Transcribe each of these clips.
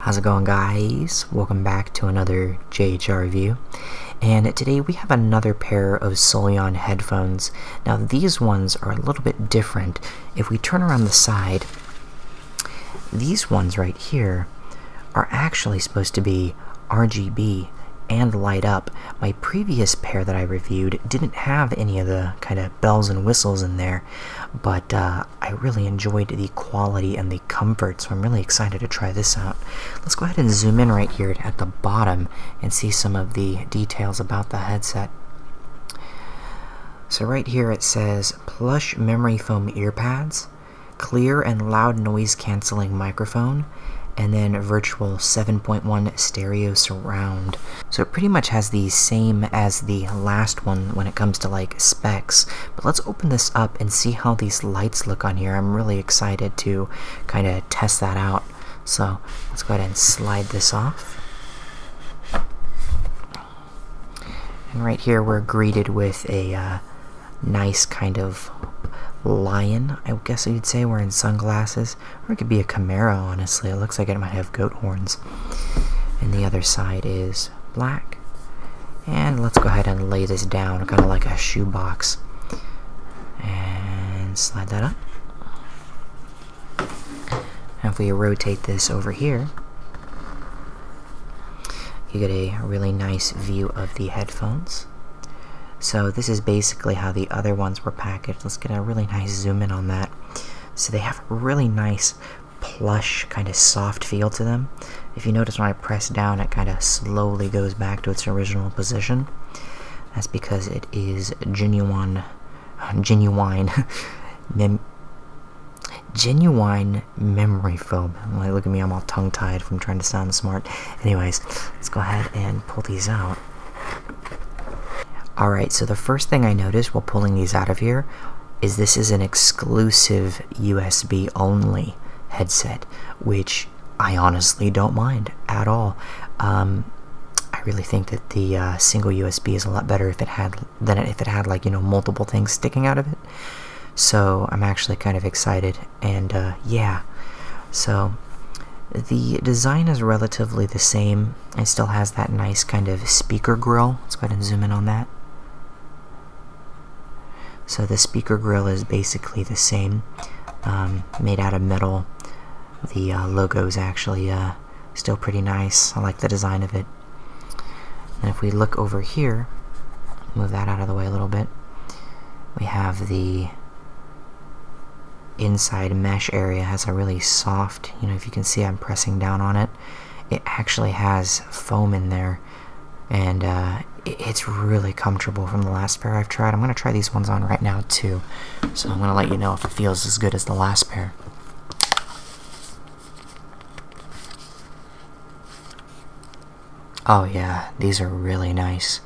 How's it going guys? Welcome back to another JHR review. And today we have another pair of Solion headphones. Now these ones are a little bit different. If we turn around the side, these ones right here are actually supposed to be RGB and light up. My previous pair that I reviewed didn't have any of the kind of bells and whistles in there, but uh, I really enjoyed the quality and the comfort, so I'm really excited to try this out. Let's go ahead and zoom in right here at the bottom and see some of the details about the headset. So right here it says plush memory foam ear pads, clear and loud noise canceling microphone, and then virtual 7.1 stereo surround. So it pretty much has the same as the last one when it comes to like specs. But let's open this up and see how these lights look on here. I'm really excited to kind of test that out. So let's go ahead and slide this off. And right here we're greeted with a uh, nice kind of lion, I guess you'd say, wearing sunglasses. Or it could be a Camaro, honestly. It looks like it might have goat horns. And the other side is black. And let's go ahead and lay this down, kind of like a shoebox. And slide that up. And if we rotate this over here, you get a really nice view of the headphones. So this is basically how the other ones were packaged. Let's get a really nice zoom in on that. So they have a really nice plush kind of soft feel to them. If you notice when I press down it kind of slowly goes back to its original position. That's because it is genuine genuine genuine memory foam. look at me, I'm all tongue-tied from trying to sound smart. Anyways, let's go ahead and pull these out. Alright, so the first thing I noticed while pulling these out of here is this is an exclusive USB only headset, which I honestly don't mind at all. Um, I really think that the uh, single USB is a lot better if it had than if it had like you know multiple things sticking out of it. So I'm actually kind of excited, and uh, yeah, so the design is relatively the same it still has that nice kind of speaker grill. Let's go ahead and zoom in on that. So the speaker grill is basically the same, um, made out of metal. The uh, logo is actually uh, still pretty nice. I like the design of it. And if we look over here, move that out of the way a little bit, we have the inside mesh area has a really soft you know, if you can see I'm pressing down on it, it actually has foam in there, and uh, it's really comfortable from the last pair I've tried. I'm going to try these ones on right now, too, so I'm going to let you know if it feels as good as the last pair. Oh yeah, these are really nice.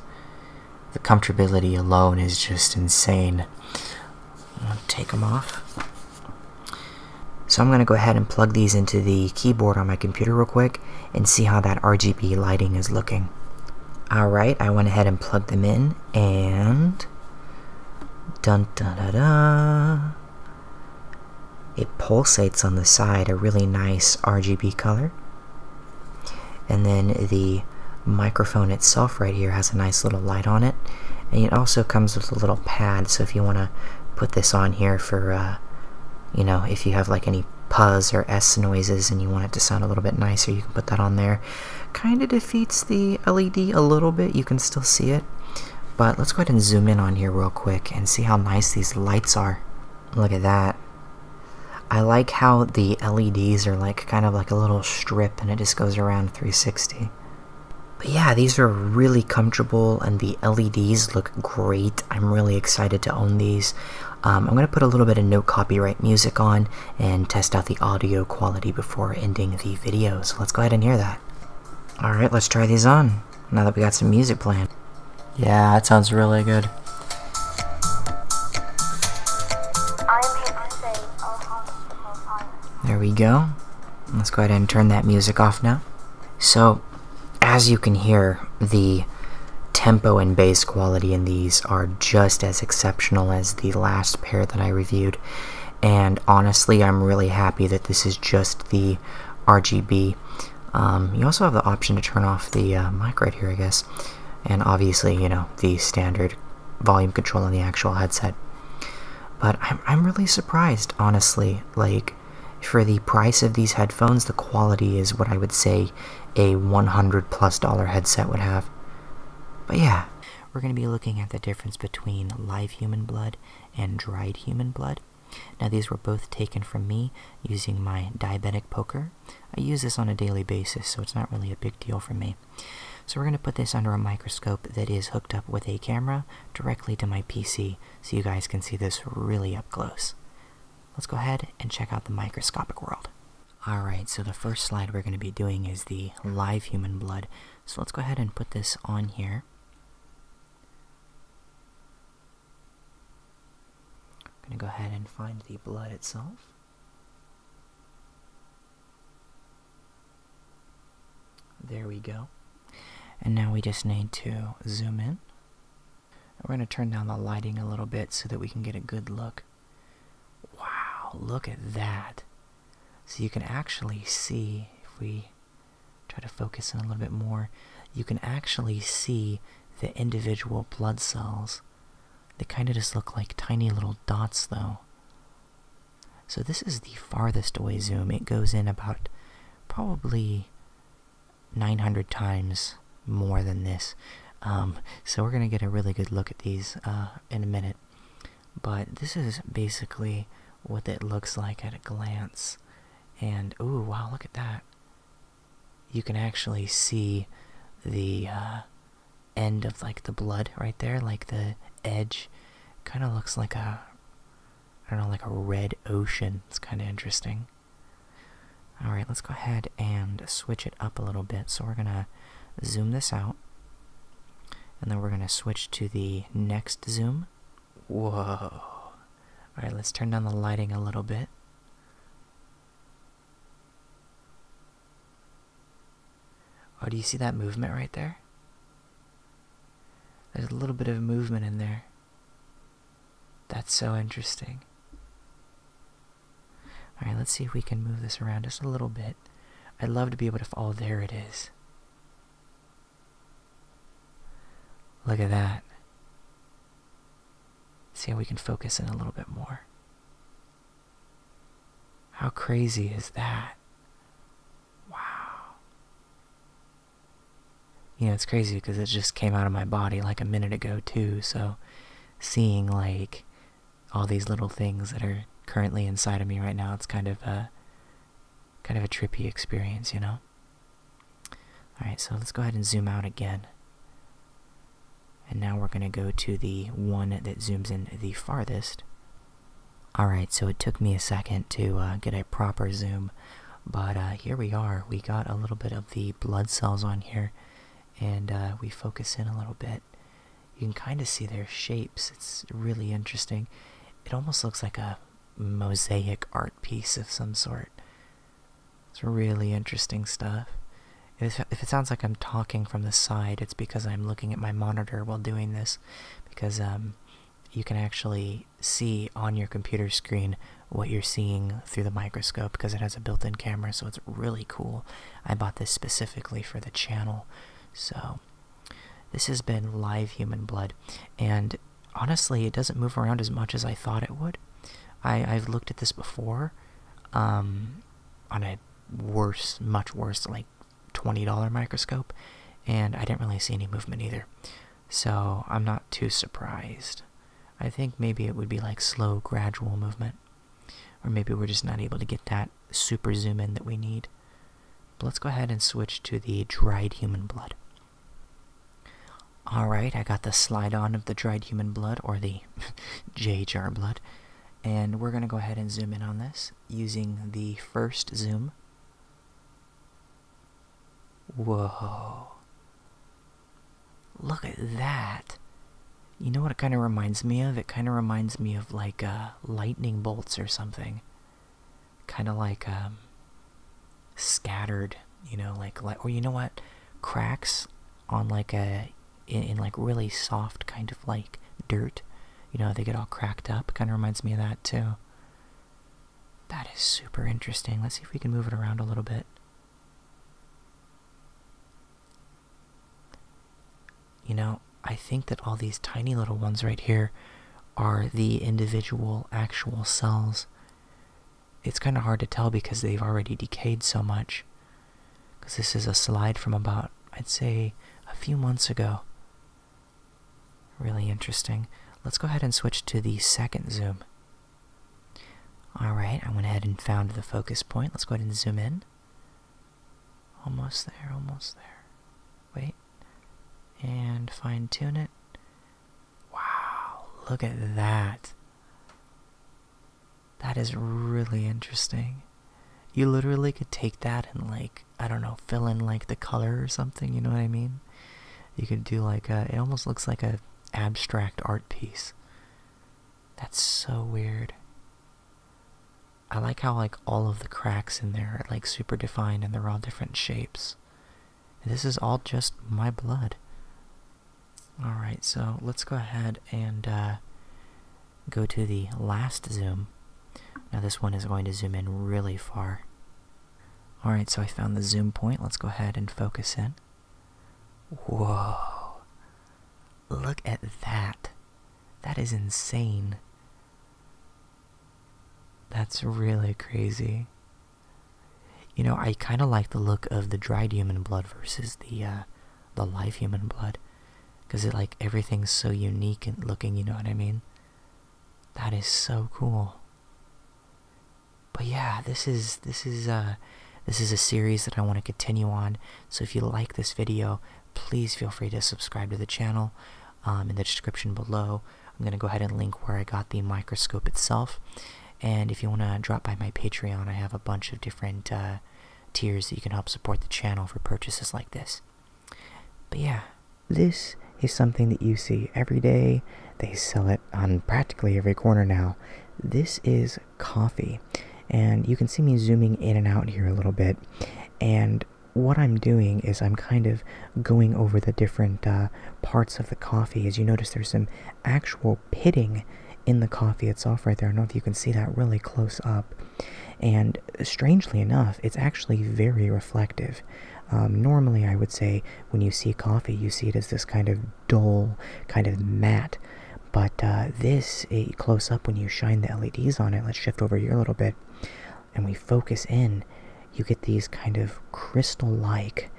The comfortability alone is just insane. take them off. So I'm going to go ahead and plug these into the keyboard on my computer real quick and see how that RGB lighting is looking. Alright, I went ahead and plugged them in and dun dun da it pulsates on the side a really nice RGB color and then the microphone itself right here has a nice little light on it and it also comes with a little pad so if you want to put this on here for uh, you know if you have like any puzz or s noises and you want it to sound a little bit nicer you can put that on there kind of defeats the led a little bit you can still see it but let's go ahead and zoom in on here real quick and see how nice these lights are look at that I like how the LEDs are like kind of like a little strip and it just goes around 360. But yeah, these are really comfortable and the LEDs look great. I'm really excited to own these. Um, I'm going to put a little bit of no copyright music on and test out the audio quality before ending the video. So let's go ahead and hear that. Alright, let's try these on now that we got some music playing. Yeah, that sounds really good. There we go. Let's go ahead and turn that music off now. So, as you can hear, the tempo and bass quality in these are just as exceptional as the last pair that I reviewed. And honestly, I'm really happy that this is just the RGB. Um, you also have the option to turn off the uh, mic right here, I guess. And obviously, you know, the standard volume control on the actual headset. But I'm, I'm really surprised, honestly. Like, for the price of these headphones, the quality is what I would say a 100 plus dollar headset would have. But yeah, we're going to be looking at the difference between live human blood and dried human blood. Now, these were both taken from me using my diabetic poker. I use this on a daily basis, so it's not really a big deal for me. So we're going to put this under a microscope that is hooked up with a camera directly to my PC so you guys can see this really up close. Let's go ahead and check out the microscopic world. Alright, so the first slide we're going to be doing is the live human blood. So let's go ahead and put this on here. I'm going to go ahead and find the blood itself. There we go. And now we just need to zoom in. We're going to turn down the lighting a little bit so that we can get a good look. Wow, look at that. So you can actually see, if we try to focus in a little bit more, you can actually see the individual blood cells. They kind of just look like tiny little dots, though. So this is the farthest away zoom. It goes in about probably 900 times more than this. Um, so we're going to get a really good look at these uh, in a minute. But this is basically what it looks like at a glance. And, ooh, wow, look at that. You can actually see the uh, end of, like, the blood right there, like the edge. Kind of looks like a I don't know, like a red ocean. It's kind of interesting. All right, let's go ahead and switch it up a little bit. So we're going to zoom this out. And then we're going to switch to the next zoom. Whoa. All right, let's turn down the lighting a little bit. Oh, do you see that movement right there? There's a little bit of movement in there. That's so interesting. Alright, let's see if we can move this around just a little bit. I'd love to be able to... Oh, there it is. Look at that. See how we can focus in a little bit more. How crazy is that? Wow. you know it's crazy because it just came out of my body like a minute ago, too. So seeing like all these little things that are currently inside of me right now, it's kind of a kind of a trippy experience, you know. All right, so let's go ahead and zoom out again. And now we're going to go to the one that zooms in the farthest, Alright, so it took me a second to uh, get a proper zoom, but uh, here we are. We got a little bit of the blood cells on here, and uh, we focus in a little bit. You can kind of see their shapes, it's really interesting. It almost looks like a mosaic art piece of some sort. It's really interesting stuff. If, it sounds like I'm talking from the side, it's because I'm looking at my monitor while doing this, because um, you can actually see on your computer screen what you're seeing through the microscope because it has a built-in camera so it's really cool i bought this specifically for the channel so this has been live human blood and honestly it doesn't move around as much as i thought it would i i've looked at this before um on a worse much worse like $20 microscope, and I didn't really see any movement either. So I'm not too surprised. I think maybe it would be like slow, gradual movement. Or maybe we're just not able to get that super zoom in that we need. But let's go ahead and switch to the dried human blood. Alright, I got the slide on of the dried human blood, or the J jar blood. And we're going to go ahead and zoom in on this using the first zoom Whoa. Look at that. You know what it kind of reminds me of? It kind of reminds me of like uh, lightning bolts or something. Kind of like um, scattered, you know, like, like, or you know what? Cracks on like a, in like really soft kind of like dirt. You know, they get all cracked up. Kind of reminds me of that too. That is super interesting. Let's see if we can move it around a little bit. You know, I think that all these tiny little ones right here are the individual actual cells. It's kind of hard to tell because they've already decayed so much. Because this is a slide from about, I'd say, a few months ago. Really interesting. Let's go ahead and switch to the second zoom. Alright, I went ahead and found the focus point. Let's go ahead and zoom in. Almost there, almost there. Wait. And fine tune it. Wow, look at that. That is really interesting. You literally could take that and like I don't know, fill in like the color or something. You know what I mean? You could do like a, it almost looks like a abstract art piece. That's so weird. I like how like all of the cracks in there are like super defined and they're all different shapes. this is all just my blood. Alright, so let's go ahead and uh, go to the last zoom now this one is going to zoom in really far. Alright, so I found the zoom point. Let's go ahead and focus in. Whoa. Look at that. That is insane. That's really crazy. You know, I kind of like the look of the dried human blood versus the uh, the live human blood, because it like everything's so unique and looking. You know what I mean? That is so cool. But yeah, this is this is uh this is a series that I want to continue on. So if you like this video, please feel free to subscribe to the channel. Um, in the description below, I'm gonna go ahead and link where I got the microscope itself. And if you want to drop by my Patreon, I have a bunch of different uh, tiers that you can help support the channel for purchases like this. But yeah, this is something that you see every day. They sell it on practically every corner now. This is coffee. And you can see me zooming in and out here a little bit. And what I'm doing is I'm kind of going over the different uh, parts of the coffee. As you notice, there's some actual pitting in the coffee itself right there. I don't know if you can see that really close up. And strangely enough, it's actually very reflective. Um, normally, I would say when you see coffee, you see it as this kind of dull, kind of matte. But uh, this, it, close up, when you shine the LEDs on it, let's shift over here a little bit, and we focus in, you get these kind of crystal like,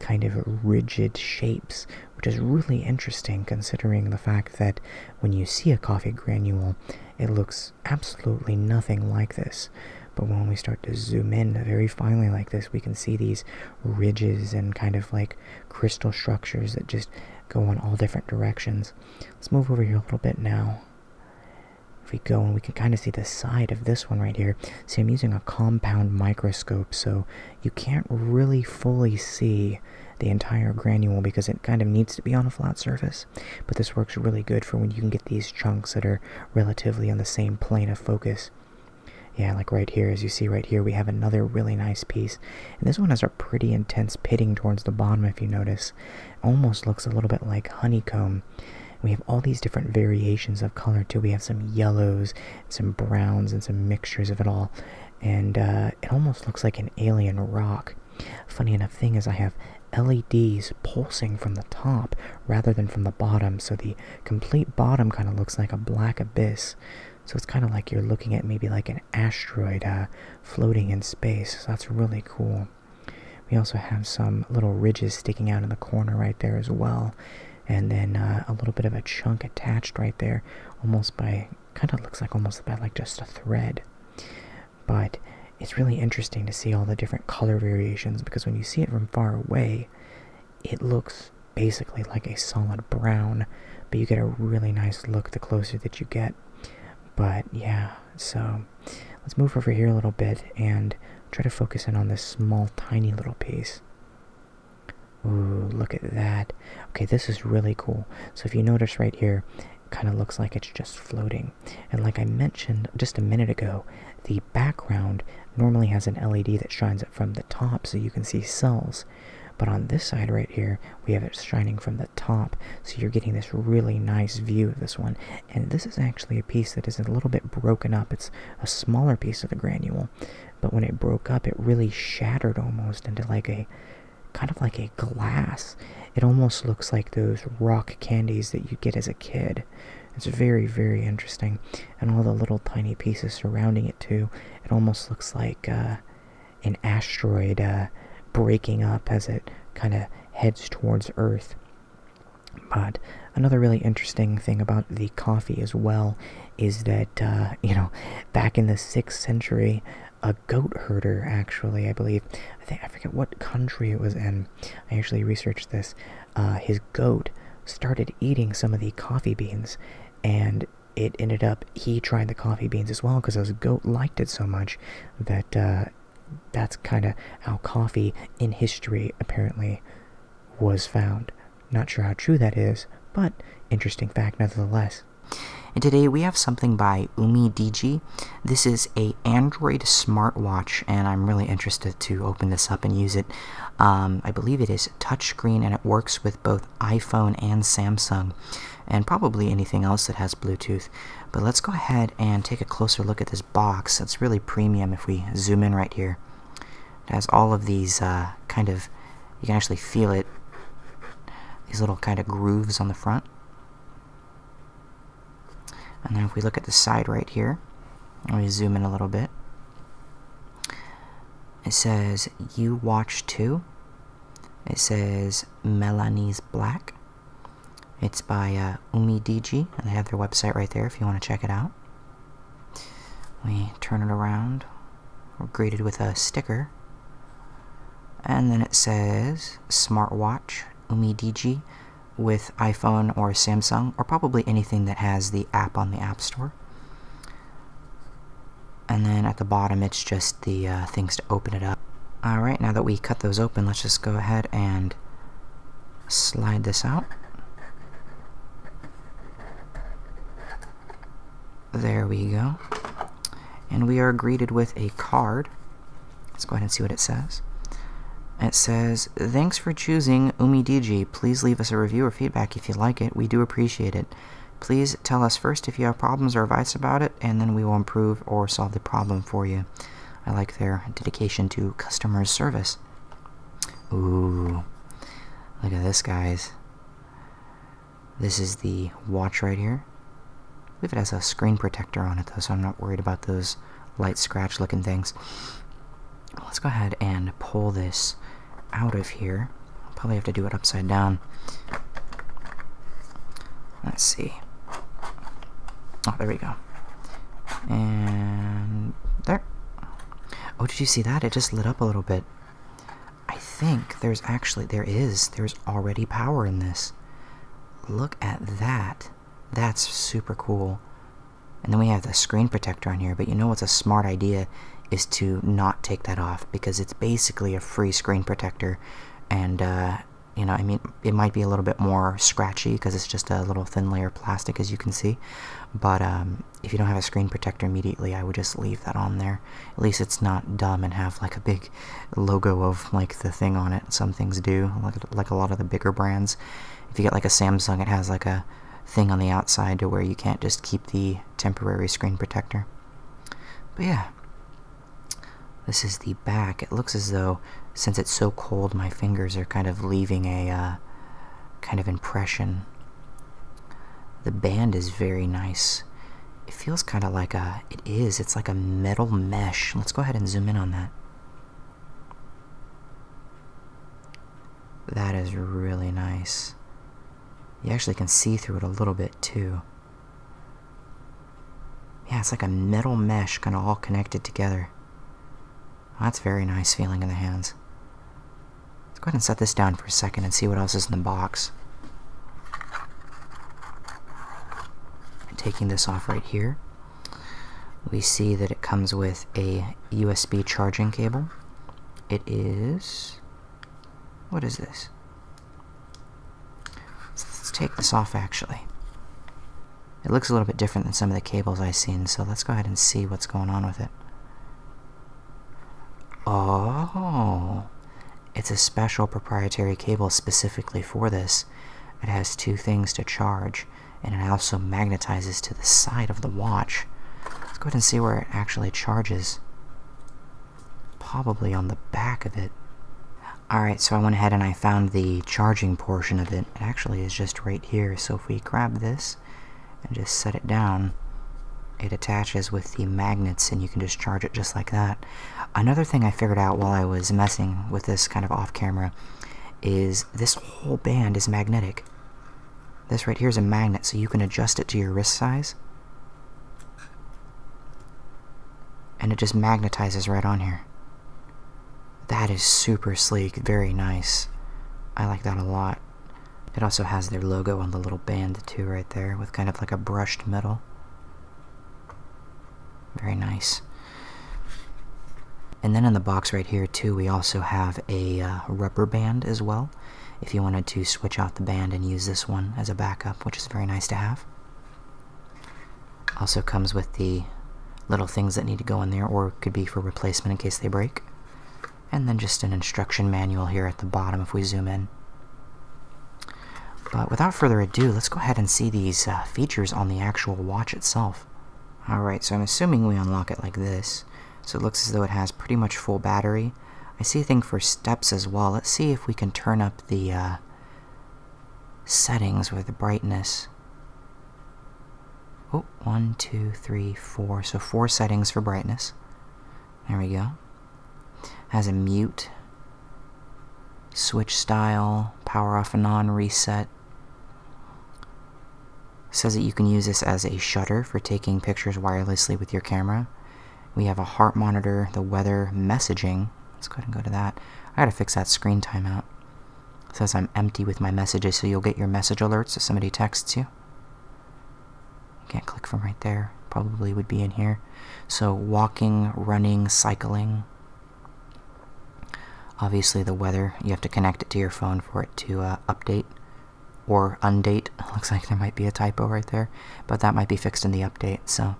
kind of rigid shapes, which is really interesting considering the fact that when you see a coffee granule, it looks absolutely nothing like this. But when we start to zoom in very finely like this, we can see these ridges and kind of like crystal structures that just go in all different directions. Let's move over here a little bit now. If we go and we can kind of see the side of this one right here. See, I'm using a compound microscope, so you can't really fully see the entire granule because it kind of needs to be on a flat surface. But this works really good for when you can get these chunks that are relatively on the same plane of focus. Yeah, like right here, as you see right here, we have another really nice piece. And this one has a pretty intense pitting towards the bottom, if you notice. almost looks a little bit like honeycomb. We have all these different variations of color, too. We have some yellows, some browns, and some mixtures of it all. And uh, it almost looks like an alien rock. Funny enough thing is I have LEDs pulsing from the top rather than from the bottom. So the complete bottom kind of looks like a black abyss. So it's kind of like you're looking at maybe like an asteroid uh, floating in space. So that's really cool. We also have some little ridges sticking out in the corner right there as well. And then uh, a little bit of a chunk attached right there, almost by, kind of looks like almost by like just a thread. But it's really interesting to see all the different color variations because when you see it from far away, it looks basically like a solid brown, but you get a really nice look the closer that you get. But yeah, so let's move over here a little bit and try to focus in on this small, tiny little piece. Ooh, look at that. Okay, this is really cool. So if you notice right here, it kind of looks like it's just floating. And like I mentioned just a minute ago, the background normally has an LED that shines it from the top so you can see cells. But on this side right here, we have it shining from the top, so you're getting this really nice view of this one. And this is actually a piece that is a little bit broken up. It's a smaller piece of the granule, but when it broke up, it really shattered almost into like a kind of like a glass. It almost looks like those rock candies that you get as a kid, it's very, very interesting, and all the little tiny pieces surrounding it too. It almost looks like uh, an asteroid uh, breaking up as it kind of heads towards Earth. But another really interesting thing about the coffee as well is that uh, you know, back in the sixth century, a goat herder actually, I believe, I think I forget what country it was in. I actually researched this. Uh, his goat started eating some of the coffee beans, and it ended up he tried the coffee beans as well because his goat liked it so much that uh, that's kind of how coffee in history apparently was found. Not sure how true that is, but interesting fact nonetheless. And today we have something by Umi DG. This is a Android smartwatch, and I'm really interested to open this up and use it. Um, I believe it is touchscreen, and it works with both iPhone and Samsung, and probably anything else that has Bluetooth. But let's go ahead and take a closer look at this box. It's really premium if we zoom in right here. It has all of these uh, kind of, you can actually feel it, these little kind of grooves on the front. And then if we look at the side right here, let me zoom in a little bit, it says You Watch 2. It says Melanie's Black. It's by uh, Umi DG, and they have their website right there if you want to check it out. We turn it around. We're greeted with a sticker. And then it says Smartwatch Umi DG with iPhone or Samsung, or probably anything that has the app on the App Store. And then at the bottom, it's just the uh, things to open it up. Alright, now that we cut those open, let's just go ahead and slide this out. There we go. And we are greeted with a card. Let's go ahead and see what it says. It says, Thanks for choosing UmiDigi Please leave us a review or feedback if you like it. We do appreciate it. Please tell us first if you have problems or advice about it, and then we will improve or solve the problem for you. I like their dedication to customer service. Ooh, look at this, guys. This is the watch right here. I believe it has a screen protector on it, though, so I'm not worried about those light scratch looking things. Let's go ahead and pull this out of here. I'll probably have to do it upside down. Let's see. Oh, there we go. And there. Oh, did you see that? It just lit up a little bit. I think there's actually, there is, there's already power in this. Look at that. That's super cool. And then we have the screen protector on here, but you know what's a smart idea is to not take that off because it's basically a free screen protector. And, uh, you know, I mean, it might be a little bit more scratchy because it's just a little thin layer of plastic, as you can see. But um, if you don't have a screen protector immediately, I would just leave that on there. At least it's not dumb and have like a big logo of like the thing on it. Some things do, like, like a lot of the bigger brands. If you get like a Samsung, it has like a thing on the outside to where you can't just keep the temporary screen protector. But yeah, this is the back. It looks as though, since it's so cold, my fingers are kind of leaving a uh, kind of impression. The band is very nice. It feels kind of like a, it is, it's like a metal mesh. Let's go ahead and zoom in on that. That is really nice. You actually can see through it a little bit too. Yeah, it's like a metal mesh kind of all connected together. That's very nice feeling in the hands. Let's go ahead and set this down for a second and see what else is in the box. Taking this off right here, we see that it comes with a USB charging cable. It is. What is this? Let's take this off actually. It looks a little bit different than some of the cables I've seen, so let's go ahead and see what's going on with it. Oh, it's a special proprietary cable specifically for this. It has two things to charge and it also magnetizes to the side of the watch. Let's go ahead and see where it actually charges. Probably on the back of it. Alright, so I went ahead and I found the charging portion of it. It actually is just right here, so if we grab this and just set it down, it attaches with the magnets and you can just charge it just like that. Another thing I figured out while I was messing with this kind of off camera is this whole band is magnetic. This right here is a magnet, so you can adjust it to your wrist size. And it just magnetizes right on here. That is super sleek, very nice. I like that a lot. It also has their logo on the little band too right there with kind of like a brushed metal. Very nice. And then in the box right here too, we also have a uh, rubber band as well. If you wanted to switch out the band and use this one as a backup, which is very nice to have. Also comes with the little things that need to go in there or could be for replacement in case they break. And then just an instruction manual here at the bottom if we zoom in. But without further ado, let's go ahead and see these uh, features on the actual watch itself. Alright, so I'm assuming we unlock it like this. So it looks as though it has pretty much full battery. I see a thing for steps as well. Let's see if we can turn up the uh, settings with the brightness. Oh, one, two, three, four. So four settings for brightness. There we go. Has a mute, switch style, power off and on, reset, says that you can use this as a shutter for taking pictures wirelessly with your camera. We have a heart monitor, the weather, messaging. Let's go and go to that. I gotta fix that screen timeout. says I'm empty with my messages, so you'll get your message alerts if somebody texts you. You can't click from right there. Probably would be in here. So walking, running, cycling. Obviously the weather, you have to connect it to your phone for it to uh, update or undate. Looks like there might be a typo right there, but that might be fixed in the update, so.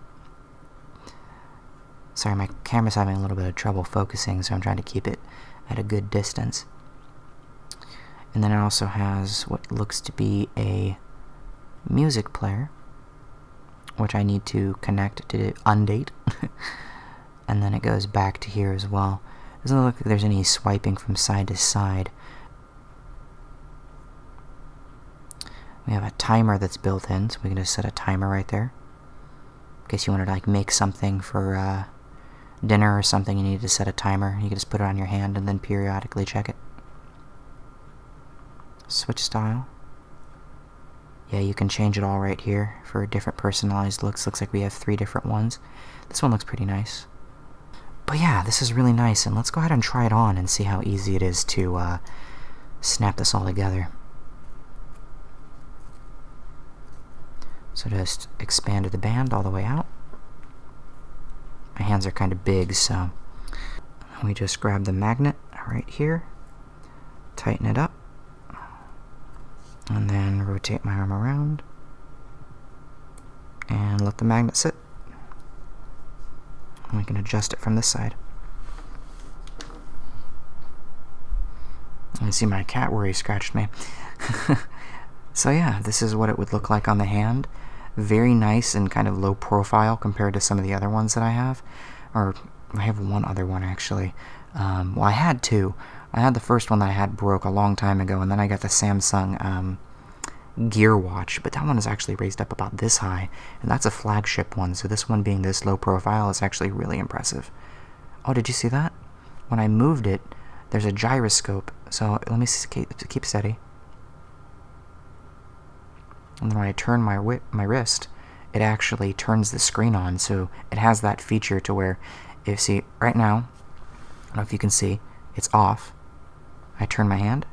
Sorry, my camera's having a little bit of trouble focusing, so I'm trying to keep it at a good distance. And then it also has what looks to be a music player, which I need to connect to undate. and then it goes back to here as well. Doesn't look like there's any swiping from side to side. We have a timer that's built in, so we can just set a timer right there. In case you wanted to like make something for uh, dinner or something, you need to set a timer. You can just put it on your hand and then periodically check it. Switch style. Yeah, you can change it all right here for different personalized looks. Looks like we have three different ones. This one looks pretty nice. But yeah, this is really nice, and let's go ahead and try it on and see how easy it is to uh, snap this all together. So just expanded the band all the way out. My hands are kind of big, so we just grab the magnet right here, tighten it up, and then rotate my arm around and let the magnet sit. And we can adjust it from this side. And see my cat where he scratched me. so yeah, this is what it would look like on the hand. Very nice and kind of low profile compared to some of the other ones that I have. Or I have one other one actually. Um, well, I had two, I had the first one that I had broke a long time ago, and then I got the Samsung um, Gear Watch, but that one is actually raised up about this high, and that's a flagship one, so this one being this low profile is actually really impressive. Oh, did you see that? When I moved it, there's a gyroscope, so let me keep steady. And then when I turn my, my wrist, it actually turns the screen on, so it has that feature to where, if see, right now, I don't know if you can see, it's off. I turn my hand,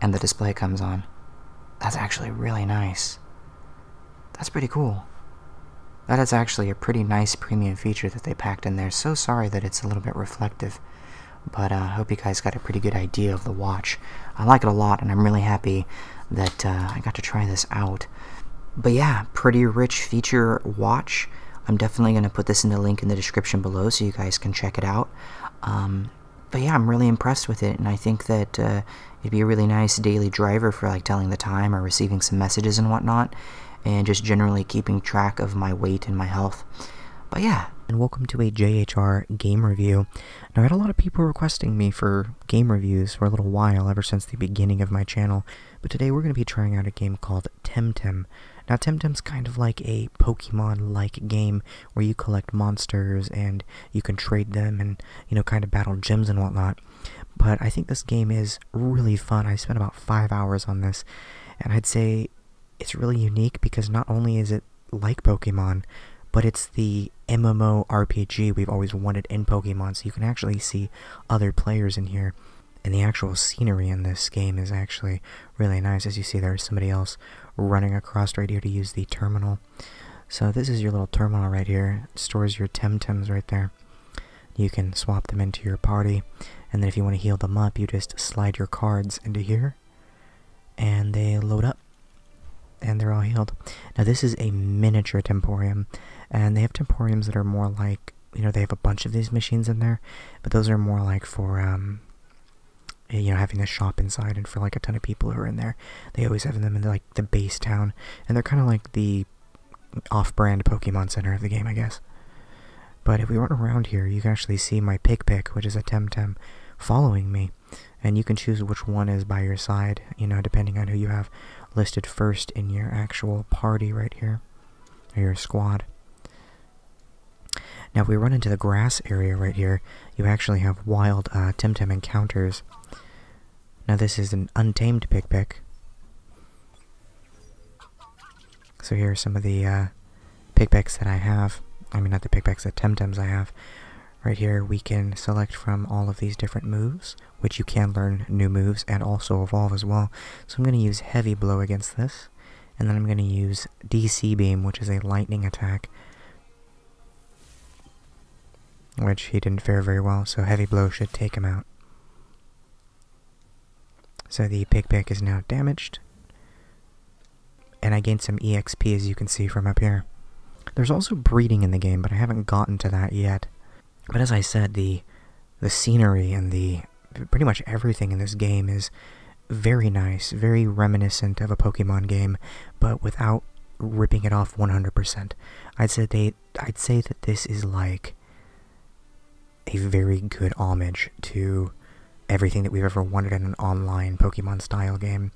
and the display comes on. That's actually really nice. That's pretty cool. That is actually a pretty nice premium feature that they packed in there. So sorry that it's a little bit reflective, but uh, I hope you guys got a pretty good idea of the watch. I like it a lot, and I'm really happy that uh, I got to try this out. But yeah, pretty rich feature watch. I'm definitely going to put this in the link in the description below so you guys can check it out. Um, but yeah, I'm really impressed with it, and I think that uh, it'd be a really nice daily driver for like telling the time or receiving some messages and whatnot, and just generally keeping track of my weight and my health. But yeah, and welcome to a JHR game review. Now, I had a lot of people requesting me for game reviews for a little while, ever since the beginning of my channel, but today we're going to be trying out a game called Temtem. Now, Temtem's kind of like a Pokemon-like game where you collect monsters and you can trade them and, you know, kind of battle gems and whatnot. But I think this game is really fun. I spent about five hours on this, and I'd say it's really unique because not only is it like Pokemon, but it's the MMO RPG we've always wanted in Pokemon, so you can actually see other players in here. And the actual scenery in this game is actually really nice. As you see, there's somebody else running across right here to use the terminal. So this is your little terminal right here. stores your Temtems right there. You can swap them into your party. And then if you want to heal them up, you just slide your cards into here. And they load up. And they're all healed. Now this is a miniature Temporium. And they have Temporiums that are more like you know, they have a bunch of these machines in there, but those are more like for, um, eh, you know, having a shop inside and for like a ton of people who are in there. They always have them in like the base town, and they're kind of like the off-brand Pokemon Center of the game, I guess. But if we weren't around here, you can actually see my Pig Pick, which is a Temtem, following me. And you can choose which one is by your side, you know, depending on who you have listed first in your actual party right here, or your squad. Now, if we run into the grass area right here, you actually have wild uh, Temtem encounters. Now, this is an untamed Pigpick. So here are some of the uh, that I have. I mean, not the Pigpicks, the Temtems I have. Right here, we can select from all of these different moves, which you can learn new moves and also evolve as well. So I'm going to use Heavy Blow against this. And then I'm going to use DC Beam, which is a lightning attack. Which he didn't fare very well, so Heavy Blow should take him out. So the Pigpick is now damaged. And I gain some EXP, as you can see from up here. There's also breeding in the game, but I haven't gotten to that yet. But as I said, the the scenery and the pretty much everything in this game is very nice, very reminiscent of a Pokemon game, but without ripping it off 100%. I'd say they I'd say that this is like a very good homage to everything that we've ever wanted in an online Pokemon style game,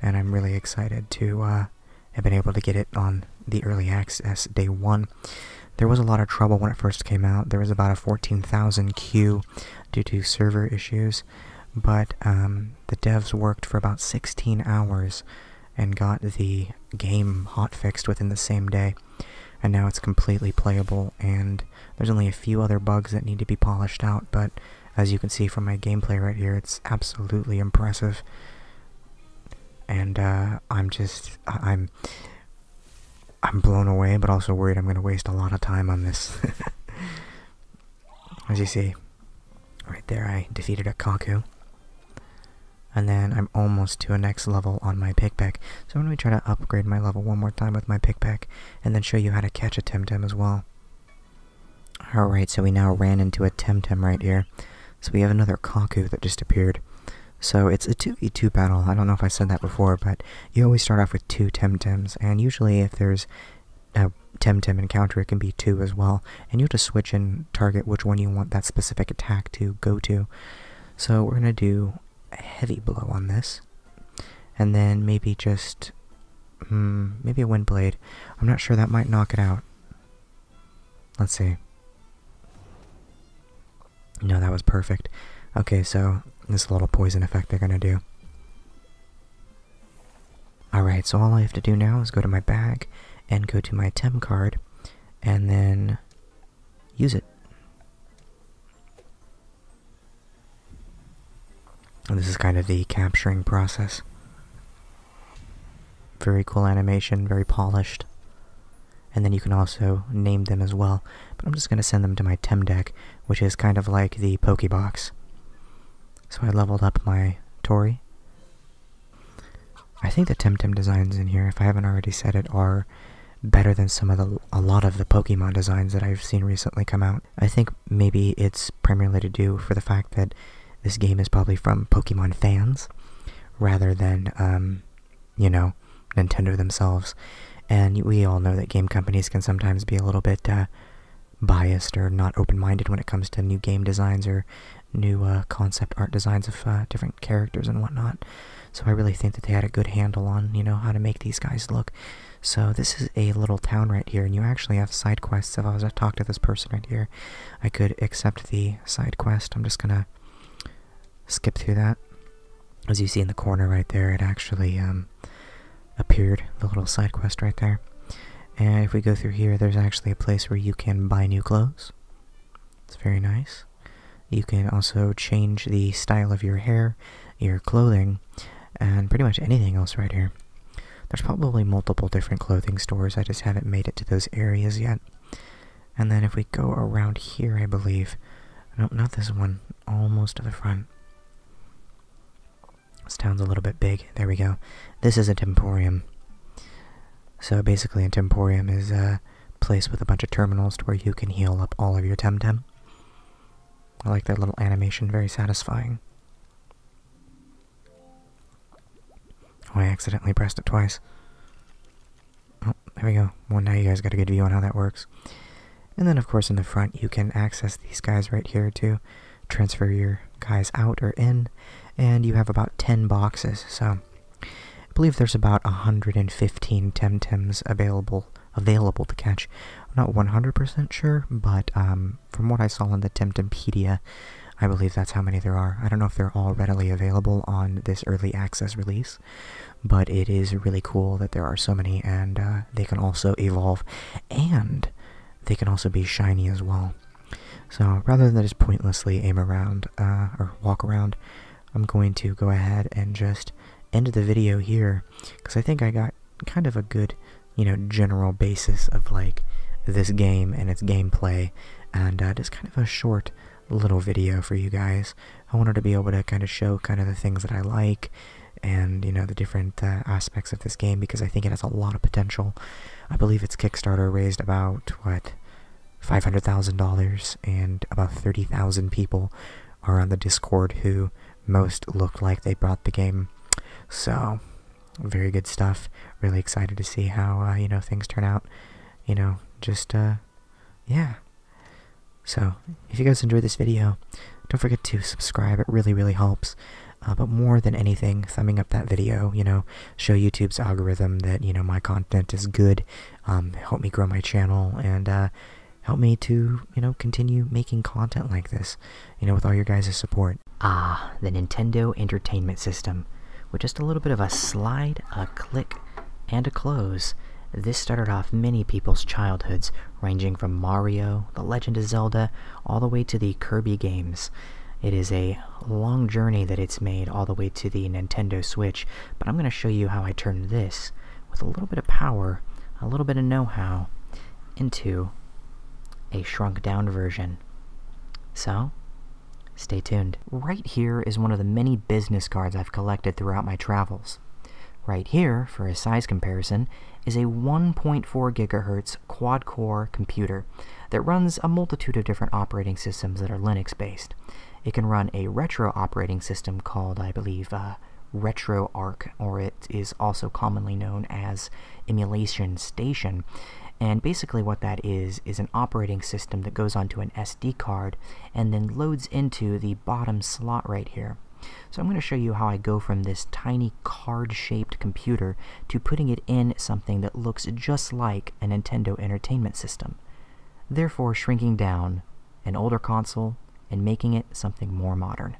and I'm really excited to uh, have been able to get it on the early access day one. There was a lot of trouble when it first came out. There was about a 14,000 queue due to server issues, but um, the devs worked for about 16 hours and got the game hotfixed within the same day. And now it's completely playable, and there's only a few other bugs that need to be polished out, but as you can see from my gameplay right here, it's absolutely impressive. And uh, I'm just, I'm I'm blown away, but also worried I'm going to waste a lot of time on this. As you see, right there I defeated a Kaku. And then I'm almost to a next level on my pickpack. So I'm going to try to upgrade my level one more time with my pickpack, and then show you how to catch a Temtem as well. Alright, so we now ran into a Temtem right here. So we have another Kaku that just appeared. So it's a 2v2 battle. I don't know if I said that before, but you always start off with two Temtems, and usually if there's a Temtem encounter, it can be two as well, and you have to switch and target which one you want that specific attack to go to. So we're going to do a heavy blow on this, and then maybe just, hmm, maybe a wind blade. I'm not sure, that might knock it out. Let's see. No, that was perfect. Okay, so this little poison effect they're gonna do. Alright, so all I have to do now is go to my bag and go to my Tem card and then use it. this is kind of the capturing process. Very cool animation, very polished and then you can also name them as well. But I'm just going to send them to my Tem deck, which is kind of like the Pokebox. So I leveled up my Tori. I think the Temtem designs in here, if I haven't already said it, are better than some of the a lot of the Pokemon designs that I've seen recently come out. I think maybe it's primarily to do for the fact that this game is probably from Pokemon fans rather than um, you know Nintendo themselves. And we all know that game companies can sometimes be a little bit uh, biased or not open-minded when it comes to new game designs or new uh, concept art designs of uh, different characters and whatnot. So I really think that they had a good handle on, you know, how to make these guys look. So this is a little town right here, and you actually have side quests. If I was to talk to this person right here, I could accept the side quest. I'm just gonna skip through that. As you see in the corner right there, it actually um, appeared, the little side quest right there. And if we go through here, there's actually a place where you can buy new clothes. It's very nice. You can also change the style of your hair, your clothing, and pretty much anything else right here. There's probably multiple different clothing stores, I just haven't made it to those areas yet. And then if we go around here, I believe... No, not this one almost to the front. This town's a little bit big. There we go. This is a temporium. So basically, a temporium is a place with a bunch of terminals to where you can heal up all of your temtem. I like that little animation, very satisfying. Oh, I accidentally pressed it twice. Oh, there we go. Well, now you guys got a good view on how that works. And then, of course, in the front, you can access these guys right here to transfer your guys out or in. And you have about 10 boxes. So I believe there's about 115 Temtems available available to catch. I'm not 100% sure, but um, from what I saw in the Temtempedia, I believe that's how many there are. I don't know if they're all readily available on this early access release, but it is really cool that there are so many, and uh, they can also evolve, and they can also be shiny as well. So rather than just pointlessly aim around uh, or walk around, I'm going to go ahead and just end the video here because I think I got kind of a good, you know, general basis of like this game and its gameplay, and uh, just kind of a short little video for you guys. I wanted to be able to kind of show kind of the things that I like and you know the different uh, aspects of this game because I think it has a lot of potential. I believe its Kickstarter raised about what five hundred thousand dollars, and about thirty thousand people are on the Discord who most looked like they bought the game. So, very good stuff. Really excited to see how uh, you know things turn out. You know, just uh, yeah. So, if you guys enjoyed this video, don't forget to subscribe. It really, really helps. Uh, but more than anything, thumbing up that video, you know, show YouTube's algorithm that, you know, my content is good, um, help me grow my channel, and uh, help me to, you know, continue making content like this, you know, with all your guys' support. Ah, the Nintendo Entertainment System. With just a little bit of a slide, a click, and a close, this started off many people's childhoods ranging from Mario, The Legend of Zelda, all the way to the Kirby games. It is a long journey that it's made all the way to the Nintendo Switch, but I'm going to show you how I turned this, with a little bit of power, a little bit of know how, into a shrunk down version. So, stay tuned. Right here is one of the many business cards I've collected throughout my travels. Right here, for a size comparison, is a 1.4 GHz quad-core computer that runs a multitude of different operating systems that are Linux-based. It can run a retro operating system called, I believe, uh, RetroArch, or it is also commonly known as Emulation Station. And basically what that is, is an operating system that goes onto an SD card and then loads into the bottom slot right here. So I'm going to show you how I go from this tiny card-shaped computer to putting it in something that looks just like a Nintendo Entertainment System, therefore shrinking down an older console and making it something more modern.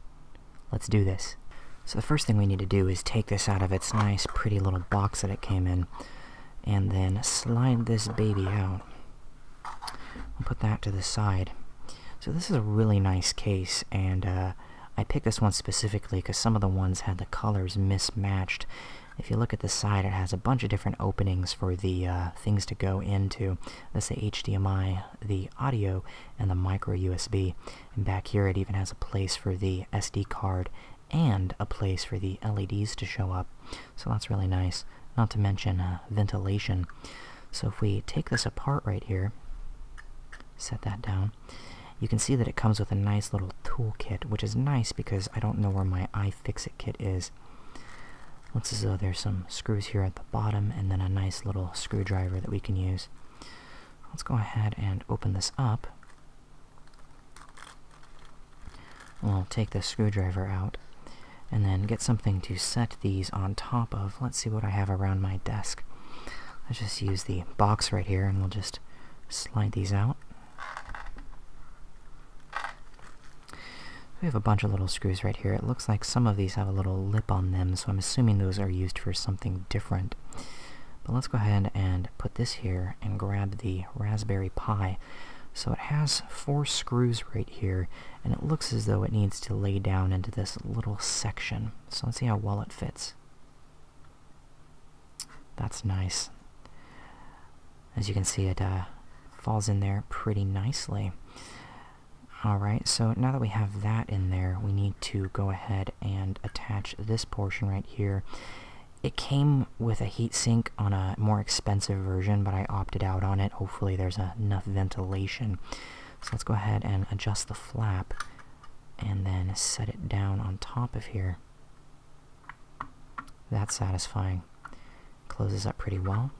Let's do this. So the first thing we need to do is take this out of its nice pretty little box that it came in and then slide this baby out put that to the side. So this is a really nice case, and uh, I picked this one specifically because some of the ones had the colors mismatched. If you look at the side, it has a bunch of different openings for the uh, things to go into. Let's say HDMI, the audio, and the micro USB. And back here, it even has a place for the SD card and a place for the LEDs to show up. So that's really nice. Not to mention, uh, uh, ventilation. So if we take this apart right here, set that down, you can see that it comes with a nice little tool kit, which is nice because I don't know where my iFixit kit is. Looks as though there's some screws here at the bottom and then a nice little screwdriver that we can use. Let's go ahead and open this up. We'll take the screwdriver out and then get something to set these on top of. Let's see what I have around my desk. Let's just use the box right here and we'll just slide these out. We have a bunch of little screws right here. It looks like some of these have a little lip on them, so I'm assuming those are used for something different. But let's go ahead and put this here and grab the Raspberry Pi. So it has four screws right here, and it looks as though it needs to lay down into this little section. So let's see how well it fits. That's nice. As you can see, it uh, falls in there pretty nicely. Alright, so now that we have that in there, we need to go ahead and attach this portion right here. It came with a heatsink on a more expensive version, but I opted out on it. Hopefully there's enough ventilation. So let's go ahead and adjust the flap and then set it down on top of here. That's satisfying. Closes up pretty well.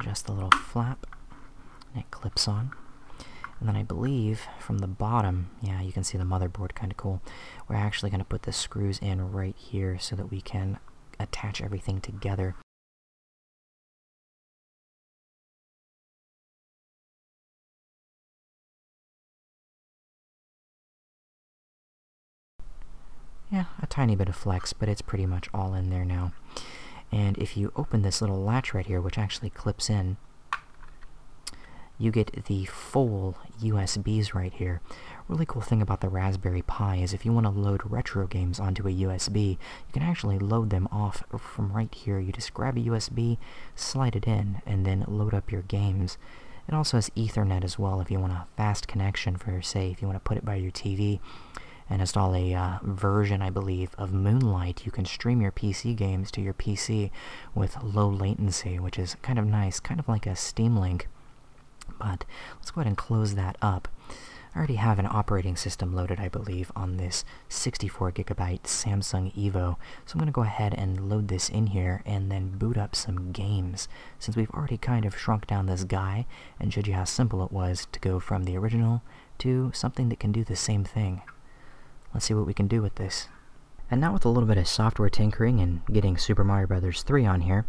Adjust the little flap and it clips on. And then I believe from the bottom, yeah, you can see the motherboard kind of cool. We're actually going to put the screws in right here so that we can attach everything together yeah, a tiny bit of flex, but it's pretty much all in there now. And if you open this little latch right here, which actually clips in, you get the full USBs right here. Really cool thing about the Raspberry Pi is if you want to load retro games onto a USB, you can actually load them off from right here. You just grab a USB, slide it in, and then load up your games. It also has Ethernet as well if you want a fast connection for, say, if you want to put it by your TV and install a uh, version, I believe, of Moonlight. You can stream your PC games to your PC with low latency, which is kind of nice, kind of like a Steam Link. But let's go ahead and close that up. I already have an operating system loaded, I believe, on this 64 gigabyte Samsung Evo. So I'm going to go ahead and load this in here and then boot up some games, since we've already kind of shrunk down this guy and showed you how simple it was to go from the original to something that can do the same thing. Let's see what we can do with this. And now with a little bit of software tinkering and getting Super Mario Brothers 3 on here,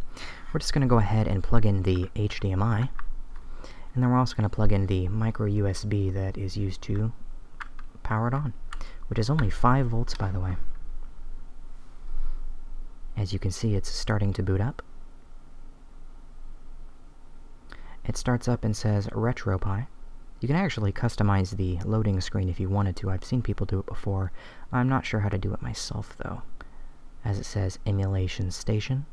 we're just going to go ahead and plug in the HDMI and then we're also going to plug in the micro USB that is used to power it on, which is only 5 volts by the way. As you can see, it's starting to boot up. It starts up and says RetroPie. You can actually customize the loading screen if you wanted to. I've seen people do it before. I'm not sure how to do it myself though. As it says Emulation Station.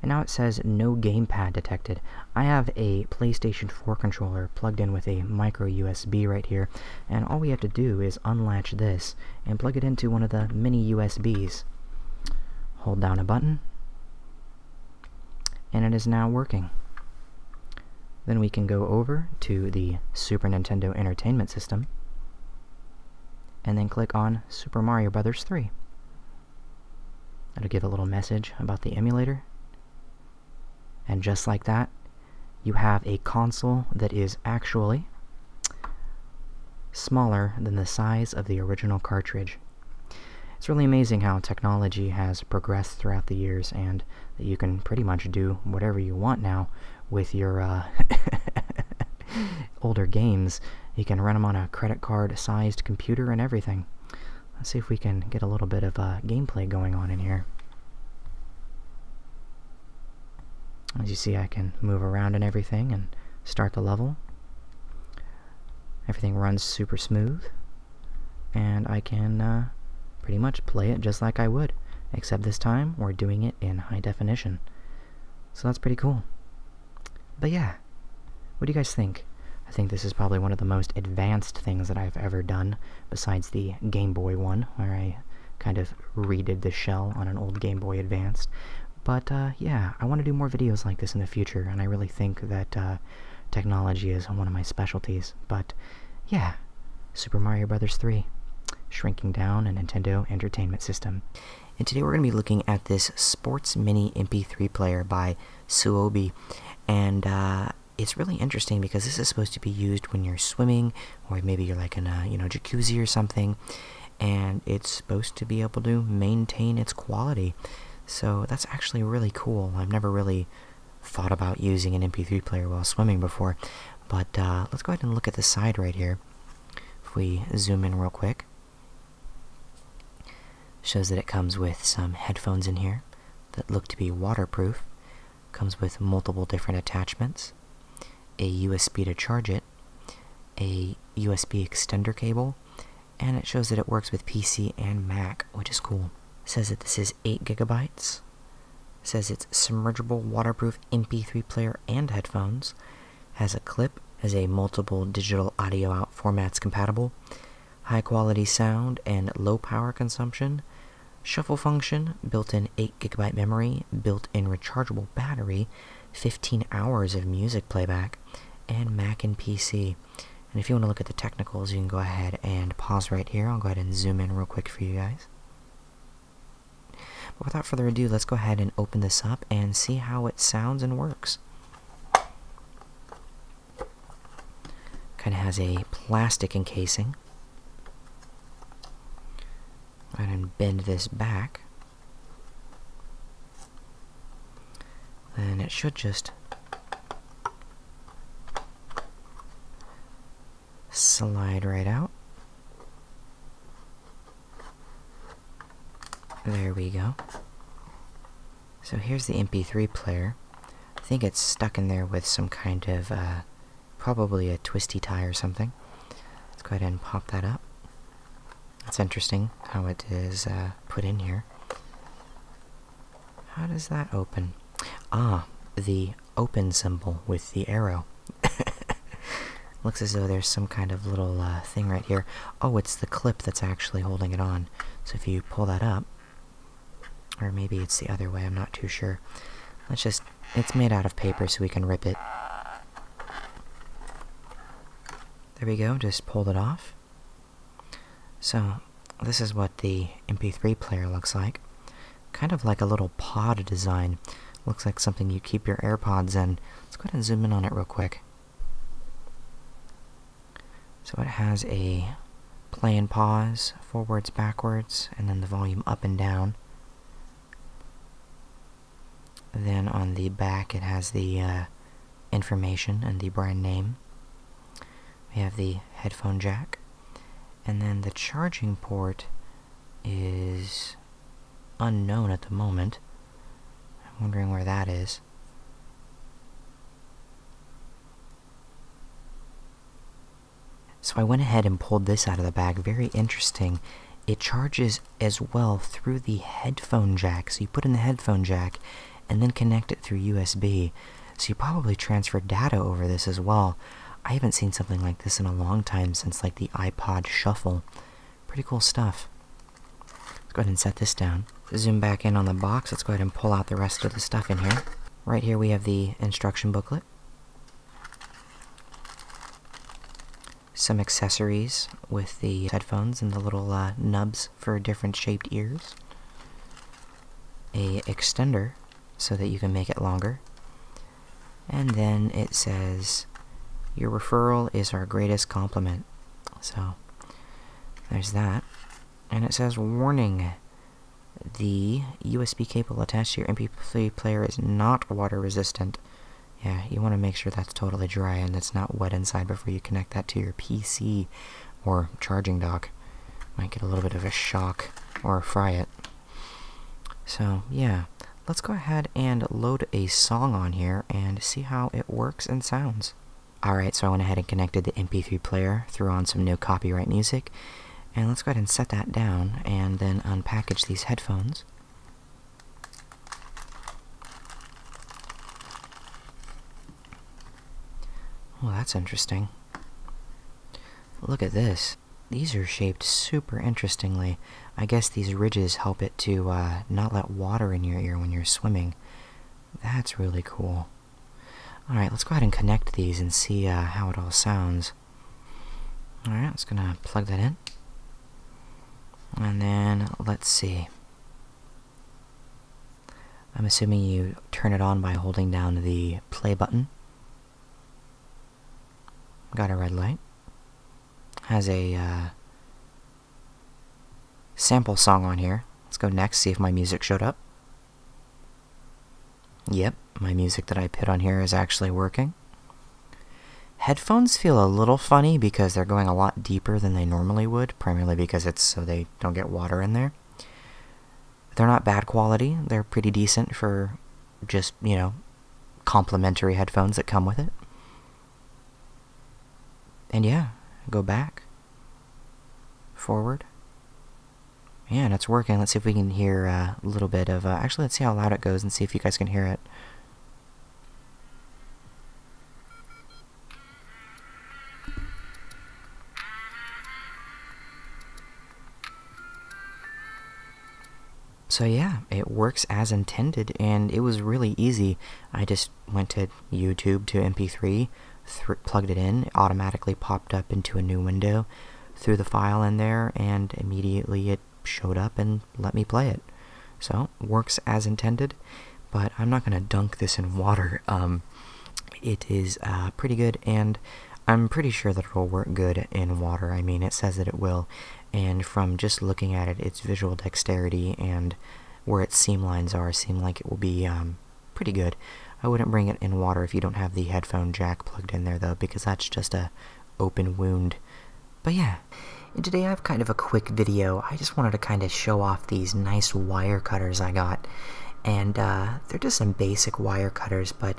And now it says no gamepad detected. I have a PlayStation 4 controller plugged in with a micro USB right here, and all we have to do is unlatch this and plug it into one of the mini USBs. Hold down a button, and it is now working. Then we can go over to the Super Nintendo Entertainment System, and then click on Super Mario Brothers 3 that will give a little message about the emulator. And just like that, you have a console that is actually smaller than the size of the original cartridge. It's really amazing how technology has progressed throughout the years and that you can pretty much do whatever you want now with your uh, older games. You can run them on a credit card sized computer and everything. Let's see if we can get a little bit of uh, gameplay going on in here. As you see, I can move around and everything and start the level. Everything runs super smooth, and I can uh, pretty much play it just like I would, except this time we're doing it in high definition. So that's pretty cool. But yeah, what do you guys think? I think this is probably one of the most advanced things that I've ever done, besides the Game Boy one, where I kind of redid the shell on an old Game Boy Advanced. But uh, yeah, I want to do more videos like this in the future, and I really think that uh, technology is one of my specialties. But yeah, Super Mario Brothers 3, shrinking down a Nintendo Entertainment System. And today we're going to be looking at this Sports Mini MP3 player by Suobi. And uh, it's really interesting because this is supposed to be used when you're swimming or maybe you're like in a you know jacuzzi or something. And it's supposed to be able to maintain its quality. So that's actually really cool. I've never really thought about using an MP3 player while swimming before. But uh, let's go ahead and look at the side right here. If we zoom in real quick. Shows that it comes with some headphones in here that look to be waterproof. Comes with multiple different attachments, a USB to charge it, a USB extender cable, and it shows that it works with PC and Mac, which is cool. says that this is 8 gigabytes. says it's submergible, waterproof MP3 player and headphones has a clip has a multiple digital audio out formats compatible, high quality sound and low power consumption, shuffle function, built-in 8GB memory, built-in rechargeable battery, 15 hours of music playback, and Mac and PC. And if you want to look at the technicals, you can go ahead and pause right here. I'll go ahead and zoom in real quick for you guys. But without further ado, let's go ahead and open this up and see how it sounds and works. Kind of has a plastic encasing. Go and bend this back. and it should just slide right out. There we go. So here's the MP3 player. I think it's stuck in there with some kind of, uh, probably a twisty tie or something. Let's go ahead and pop that up. That's interesting how it is uh, put in here. How does that open? Ah, the open symbol with the arrow. Looks as though there's some kind of little uh, thing right here. Oh, it's the clip that's actually holding it on. So if you pull that up, or maybe it's the other way, I'm not too sure. Let's just, it's made out of paper so we can rip it. There we go, just pulled it off. So, this is what the MP3 player looks like. Kind of like a little pod design. Looks like something you keep your AirPods in. Let's go ahead and zoom in on it real quick. So it has a play and pause, forwards, backwards, and then the volume up and down. Then on the back it has the uh, information and the brand name. We have the headphone jack. And then the charging port is unknown at the moment. I'm wondering where that is. So I went ahead and pulled this out of the bag. Very interesting. It charges as well through the headphone jack. So you put in the headphone jack and then connect it through USB. So you probably transfer data over this as well. I haven't seen something like this in a long time since like the iPod Shuffle. Pretty cool stuff. Let's go ahead and set this down. Zoom back in on the box. Let's go ahead and pull out the rest of the stuff in here. Right here we have the instruction booklet. Some accessories with the headphones and the little uh, nubs for different shaped ears. A extender so that you can make it longer. And then it says, your referral is our greatest compliment. So there's that. And it says warning the USB cable attached to your MP3 player is not water resistant. Yeah, you want to make sure that's totally dry and it's not wet inside before you connect that to your PC or charging dock. Might get a little bit of a shock or fry it. So, yeah, let's go ahead and load a song on here and see how it works and sounds. Alright, so I went ahead and connected the MP3 player, threw on some new copyright music, and let's go ahead and set that down and then unpackage these headphones. Well, that's interesting. Look at this. These are shaped super interestingly. I guess these ridges help it to uh, not let water in your ear when you're swimming. That's really cool. Alright, let's go ahead and connect these and see uh, how it all sounds. Alright, it's gonna plug that in. And then, let's see. I'm assuming you turn it on by holding down the play button. Got a red light. Has a uh, sample song on here. Let's go next, see if my music showed up. Yep, my music that I put on here is actually working. Headphones feel a little funny because they're going a lot deeper than they normally would, primarily because it's so they don't get water in there. They're not bad quality, they're pretty decent for just, you know, complimentary headphones that come with it. And yeah, go back. Forward. Yeah, and it's working. Let's see if we can hear uh, a little bit of... Uh, actually, let's see how loud it goes and see if you guys can hear it. So yeah, it works as intended, and it was really easy. I just went to YouTube to MP3, plugged it in, automatically popped up into a new window, threw the file in there, and immediately it showed up and let me play it. So, works as intended, but I'm not going to dunk this in water. Um, it is uh, pretty good, and I'm pretty sure that it will work good in water. I mean, it says that it will, and from just looking at it, its visual dexterity and where its seam lines are seem like it will be um, pretty good. I wouldn't bring it in water if you don't have the headphone jack plugged in there though, because that's just a open wound. But yeah, and today I have kind of a quick video. I just wanted to kind of show off these nice wire cutters I got. And uh, they're just some basic wire cutters, but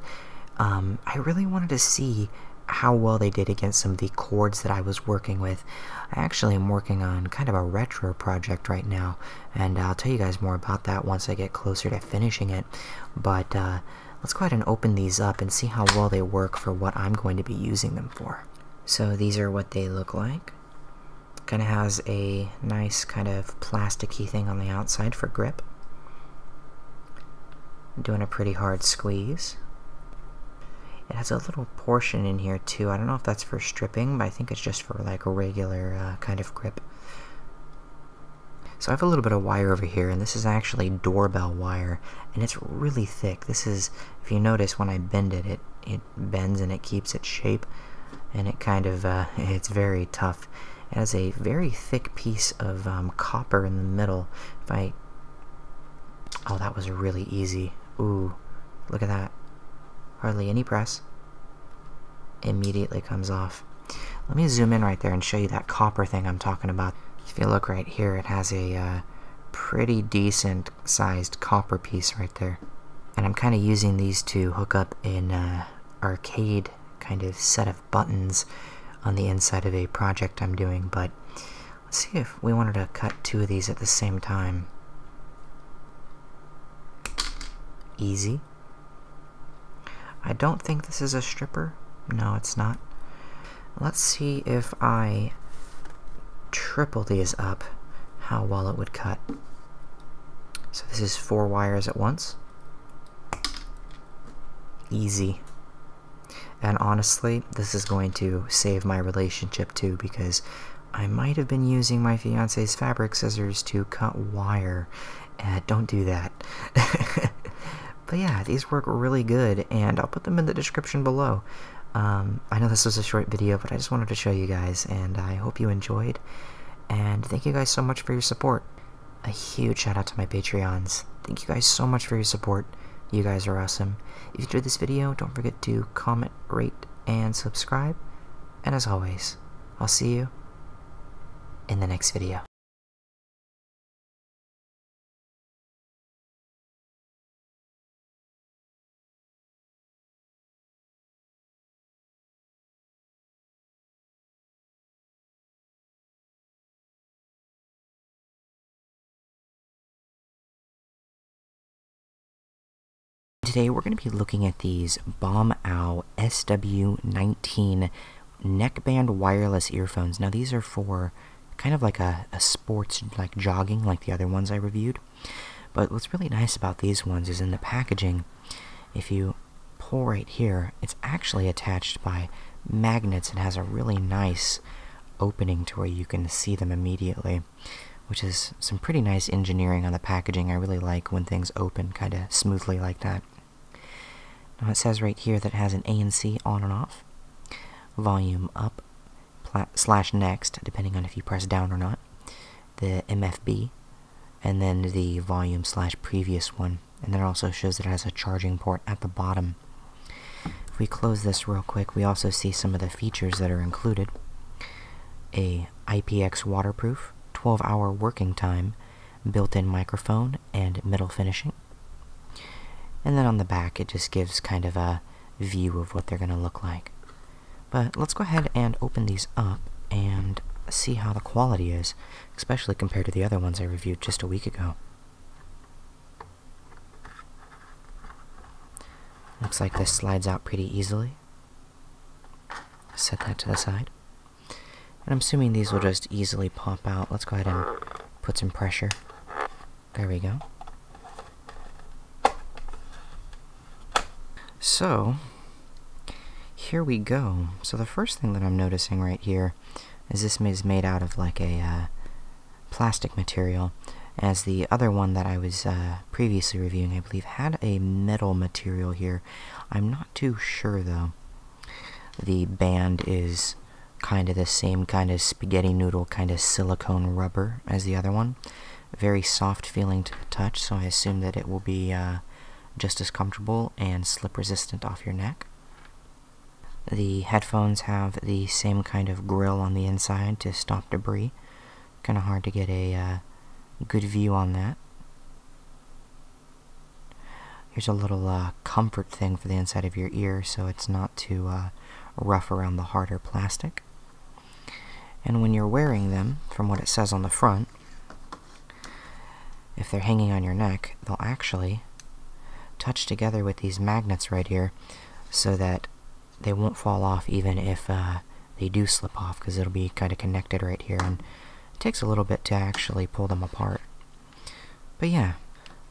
um, I really wanted to see how well they did against some of the cords that I was working with. I actually am working on kind of a retro project right now and I'll tell you guys more about that once I get closer to finishing it. But uh, let's go ahead and open these up and see how well they work for what I'm going to be using them for. So these are what they look like. Kind of has a nice kind of plasticky thing on the outside for grip. doing a pretty hard squeeze. It has a little portion in here too. I don't know if that's for stripping, but I think it's just for like a regular uh, kind of grip. So I have a little bit of wire over here, and this is actually doorbell wire, and it's really thick. This is, if you notice, when I bend it, it, it bends and it keeps its shape, and it kind of, uh, it's very tough. It has a very thick piece of um, copper in the middle. If I, oh, that was really easy. Ooh, look at that hardly any press, immediately comes off. Let me zoom in right there and show you that copper thing I'm talking about. If you look right here, it has a uh, pretty decent sized copper piece right there. And I'm kind of using these to hook up an uh, arcade kind of set of buttons on the inside of a project I'm doing, but let's see if we wanted to cut two of these at the same time. Easy. I don't think this is a stripper. No, it's not. Let's see if I triple these up, how well it would cut. So this is four wires at once. Easy. And honestly, this is going to save my relationship too because I might have been using my fiance's fabric scissors to cut wire. Eh, don't do that. but yeah, these work really good, and I'll put them in the description below. Um, I know this was a short video, but I just wanted to show you guys, and I hope you enjoyed. And thank you guys so much for your support. A huge shout out to my Patreons. Thank you guys so much for your support. You guys are awesome. If you enjoyed this video, don't forget to comment, rate, and subscribe. And as always, I'll see you in the next video. Today we're going to be looking at these Bomb Owl SW19 neckband wireless earphones. Now these are for kind of like a, a sports, like jogging, like the other ones I reviewed. But what's really nice about these ones is in the packaging, if you pull right here, it's actually attached by magnets and has a really nice opening to where you can see them immediately which is some pretty nice engineering on the packaging. I really like when things open kind of smoothly like that. Now it says right here that it has an ANC on and off, volume up slash next, depending on if you press down or not, the MFB, and then the volume slash previous one. And then also shows it has a charging port at the bottom. If we close this real quick, we also see some of the features that are included. A IPX waterproof, 12 hour working time, built in microphone and metal finishing. And then on the back, it just gives kind of a view of what they're going to look like. But let's go ahead and open these up and see how the quality is, especially compared to the other ones I reviewed just a week ago. Looks like this slides out pretty easily set that to the side. And I'm assuming these will just easily pop out. Let's go ahead and put some pressure. There we go. So, here we go. So the first thing that I'm noticing right here is this is made out of like a uh, plastic material, as the other one that I was uh, previously reviewing, I believe, had a metal material here I'm not too sure though. The band is kind of the same kind of spaghetti noodle, kind of silicone rubber as the other one. Very soft feeling to touch, so I assume that it will be uh, just as comfortable and slip resistant off your neck. The headphones have the same kind of grill on the inside to stop debris, kind of hard to get a uh, good view on that. Here's a little uh, comfort thing for the inside of your ear so it's not too uh, rough around the harder plastic. And when you're wearing them, from what it says on the front, if they're hanging on your neck, they'll actually touch together with these magnets right here so that they won't fall off even if they do slip off because it'll be kind of connected right here and it takes a little bit to actually pull them apart. But yeah,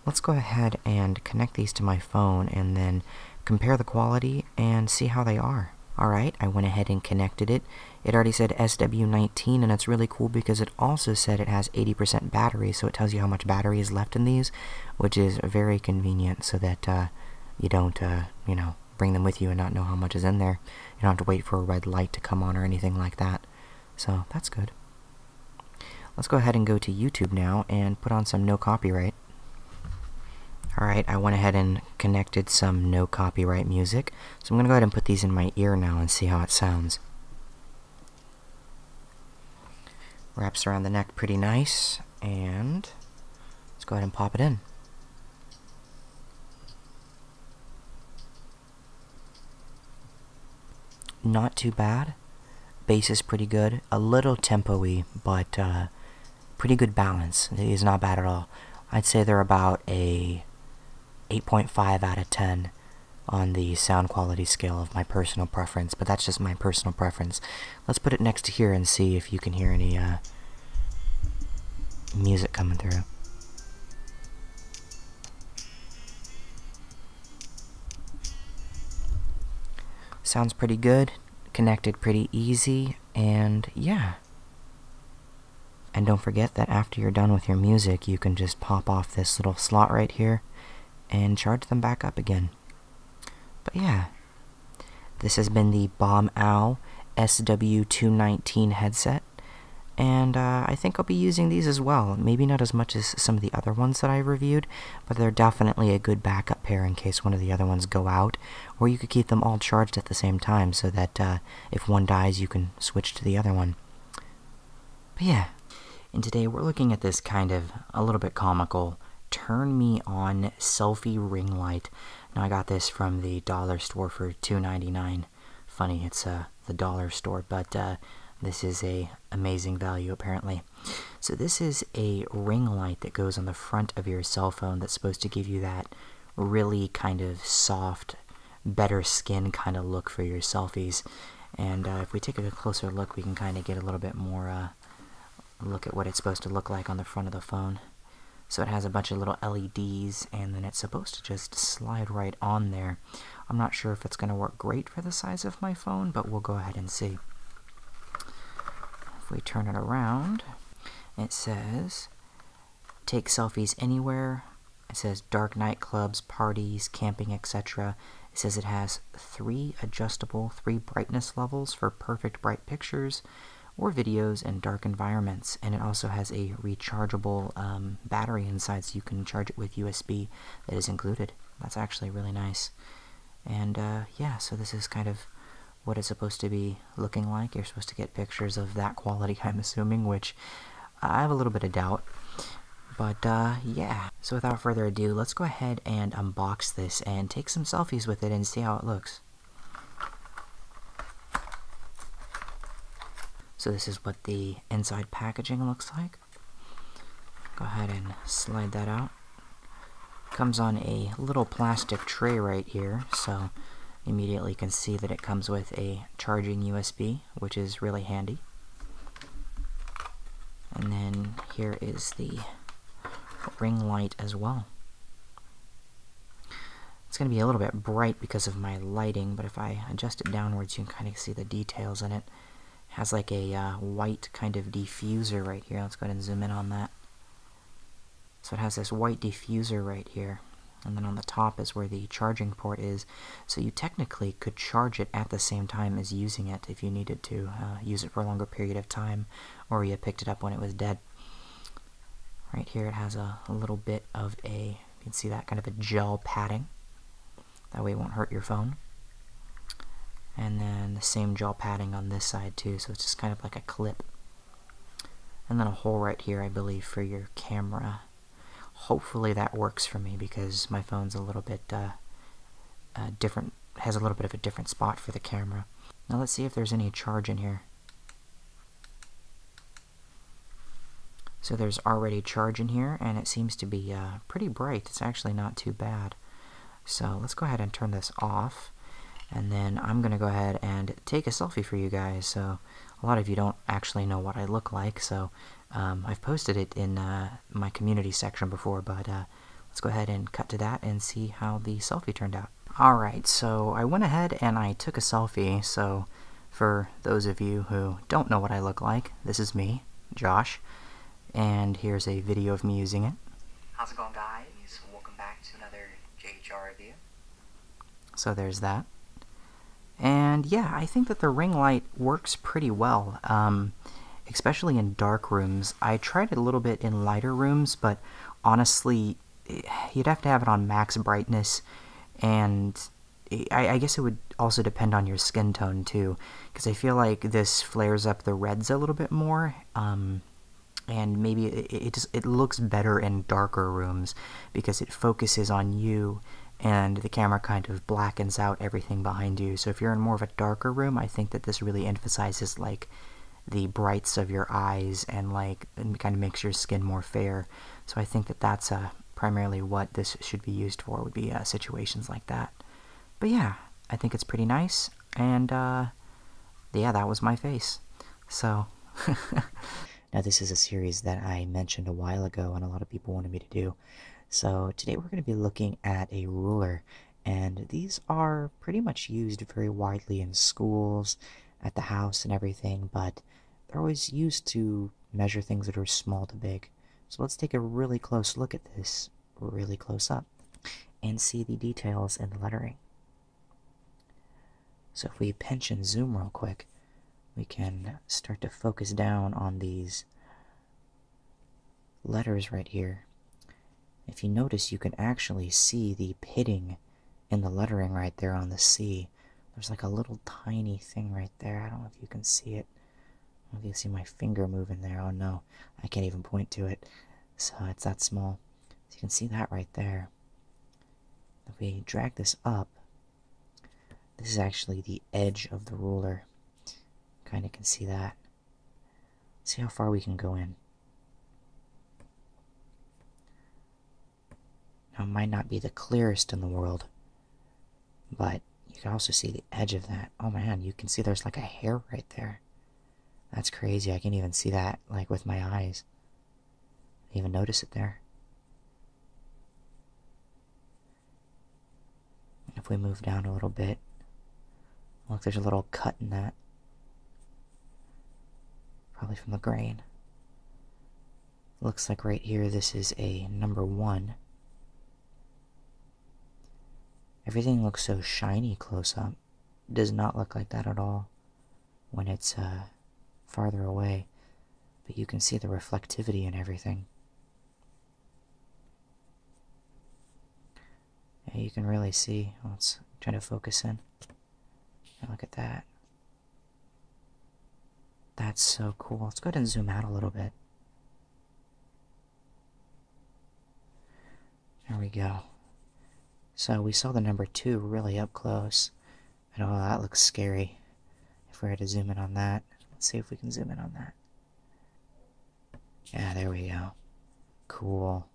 let's go ahead and connect these to my phone and then compare the quality and see how they are. Alright, I went ahead and connected it. It already said SW19 and it's really cool because it also said it has 80% battery so it tells you how much battery is left in these which is very convenient so that uh, you don't, uh, you know, bring them with you and not know how much is in there. You don't have to wait for a red light to come on or anything like that. So that's good. Let's go ahead and go to YouTube now and put on some no copyright. Alright, I went ahead and connected some no copyright music, so I'm going to go ahead and put these in my ear now and see how it sounds. Wraps around the neck pretty nice, and let's go ahead and pop it in. Not too bad. Bass is pretty good. A little tempo-y, but uh, pretty good balance. It is not bad at all. I'd say they're about a 8.5 out of 10 on the sound quality scale of my personal preference, but that's just my personal preference. Let's put it next to here and see if you can hear any uh, music coming through. Sounds pretty good, connected pretty easy, and yeah. And don't forget that after you're done with your music, you can just pop off this little slot right here and charge them back up again. But yeah, this has been the Bomb Owl SW219 headset. And uh, I think I'll be using these as well. Maybe not as much as some of the other ones that I reviewed, but they're definitely a good backup pair in case one of the other ones go out. Or you could keep them all charged at the same time so that uh, if one dies, you can switch to the other one. But yeah, and today we're looking at this kind of a little bit comical turn me on selfie ring light. Now I got this from the dollar store for $2.99. Funny, it's a uh, the dollar store, but uh, this is a amazing value apparently. So this is a ring light that goes on the front of your cell phone that's supposed to give you that really kind of soft, better skin kind of look for your selfies. And uh, if we take a closer look, we can kind of get a little bit more look at what it's supposed to look like on the front of the phone. So it has a bunch of little LEDs, and then it's supposed to just slide right on there. I'm not sure if it's going to work great for the size of my phone, but we'll go ahead and see. If we turn it around, it says, take selfies anywhere. It says dark nightclubs, parties, camping, etc. It says it has three adjustable, three brightness levels for perfect bright pictures or videos and dark environments. And it also has a rechargeable um, battery inside, so you can charge it with USB that is included. That's actually really nice. And uh, yeah, so this is kind of what it's supposed to be looking like. You're supposed to get pictures of that quality, I'm assuming, which I have a little bit of doubt. But uh, yeah, so without further ado, let's go ahead and unbox this and take some selfies with it and see how it looks. So this is what the inside packaging looks like. Go ahead and slide that out. Comes on a little plastic tray right here, so immediately you can see that it comes with a charging USB, which is really handy. And then here is the ring light as well. It's going to be a little bit bright because of my lighting, but if I adjust it downwards, you can kind of see the details in it. it has like a uh, white kind of diffuser right here. Let's go ahead and zoom in on that. So it has this white diffuser right here. And then on the top is where the charging port is. So you technically could charge it at the same time as using it if you needed to uh, use it for a longer period of time or you picked it up when it was dead. Right here it has a little bit of a you can see that kind of a gel padding. That way it won't hurt your phone. And then the same gel padding on this side too, so it's just kind of like a clip. And then a hole right here, I believe, for your camera. Hopefully that works for me because my phone's a little bit uh, uh, different, has a little bit of a different spot for the camera. Now let's see if there's any charge in here. So there's already charge in here, and it seems to be uh, pretty bright. It's actually not too bad. So let's go ahead and turn this off. And then I'm going to go ahead and take a selfie for you guys. So a lot of you don't actually know what I look like, so um, I've posted it in uh, my community section before, but uh, let's go ahead and cut to that and see how the selfie turned out. Alright, so I went ahead and I took a selfie, so for those of you who don't know what I look like, this is me, Josh, and here's a video of me using it. How's it going guys? Welcome back to another JHR review. So there's that. And yeah, I think that the ring light works pretty well, um, especially in dark rooms. I tried it a little bit in lighter rooms, but honestly, you'd have to have it on max brightness, and I, guess it would also depend on your skin tone too, because I feel like this flares up the reds a little bit more. Um, and maybe it, just it looks better in darker rooms because it focuses on you and the camera kind of blackens out everything behind you so if you're in more of a darker room i think that this really emphasizes like the brights of your eyes and like and kind of makes your skin more fair so I think that that's uh, primarily what this should be used for, would be uh, situations like that. But yeah, I think it's pretty nice, and uh, yeah, that was my face. So. now, this is a series that I mentioned a while ago, and a lot of people wanted me to do. So, today we're going to be looking at a ruler, and these are pretty much used very widely in schools at the house and everything, but they're always used to measure things that are small to big. So let's take a really close look at this, really close up, and see the details in the lettering. So if we pinch and zoom real quick, we can start to focus down on these letters right here. If you notice, you can actually see the pitting in the lettering right there on the C, there's like a little tiny thing right there. I don't know if you can see it. I you see my finger moving there. Oh no, I can't even point to it. So it's that small. you can see that right there. If we drag this up, this is actually the edge of the ruler. Kind of can see that. See how far we can go in. Now, it might not be the clearest in the world, but you can also see the edge of that. Oh man, you can see there's like a hair right there. That's crazy. I can even see that like with my eyes. I even notice it there. If we move down a little bit, look, there's a little cut in that. Probably from the grain. Looks like right here this is a number one. Everything looks so shiny close up. Does not look like that at all when it's uh, farther away, but you can see the reflectivity in everything. Yeah, you can really see. Let's try to focus in. look at that. That's so cool. Let's go ahead and zoom out a little bit. There we go. So we saw the number two really up close. I know oh, that looks scary. If we had to zoom in on that, let's see if we can zoom in on that. Yeah, there we go. Cool.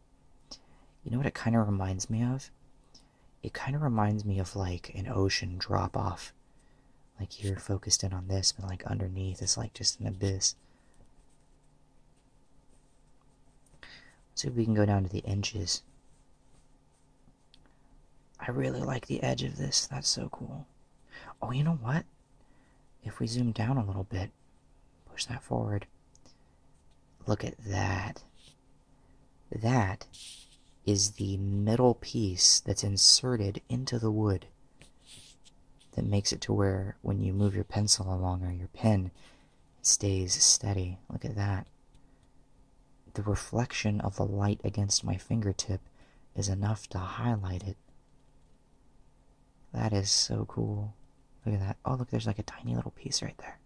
You know what it kind of reminds me of? it kind of reminds me of like an ocean drop off. Like you're focused in on this, but like underneath it's like just an abyss. see if we can go down to the inches. I really like the edge of this. That's so cool. Oh, you know what? If we zoom down a little bit, push that forward. Look at that. That is the middle piece that's inserted into the wood that makes it to where when you move your pencil along or your pen, it stays steady. Look at that. The reflection of the light against my fingertip is enough to highlight it. That is so cool. Look at that. Oh, look, there's like a tiny little piece right there.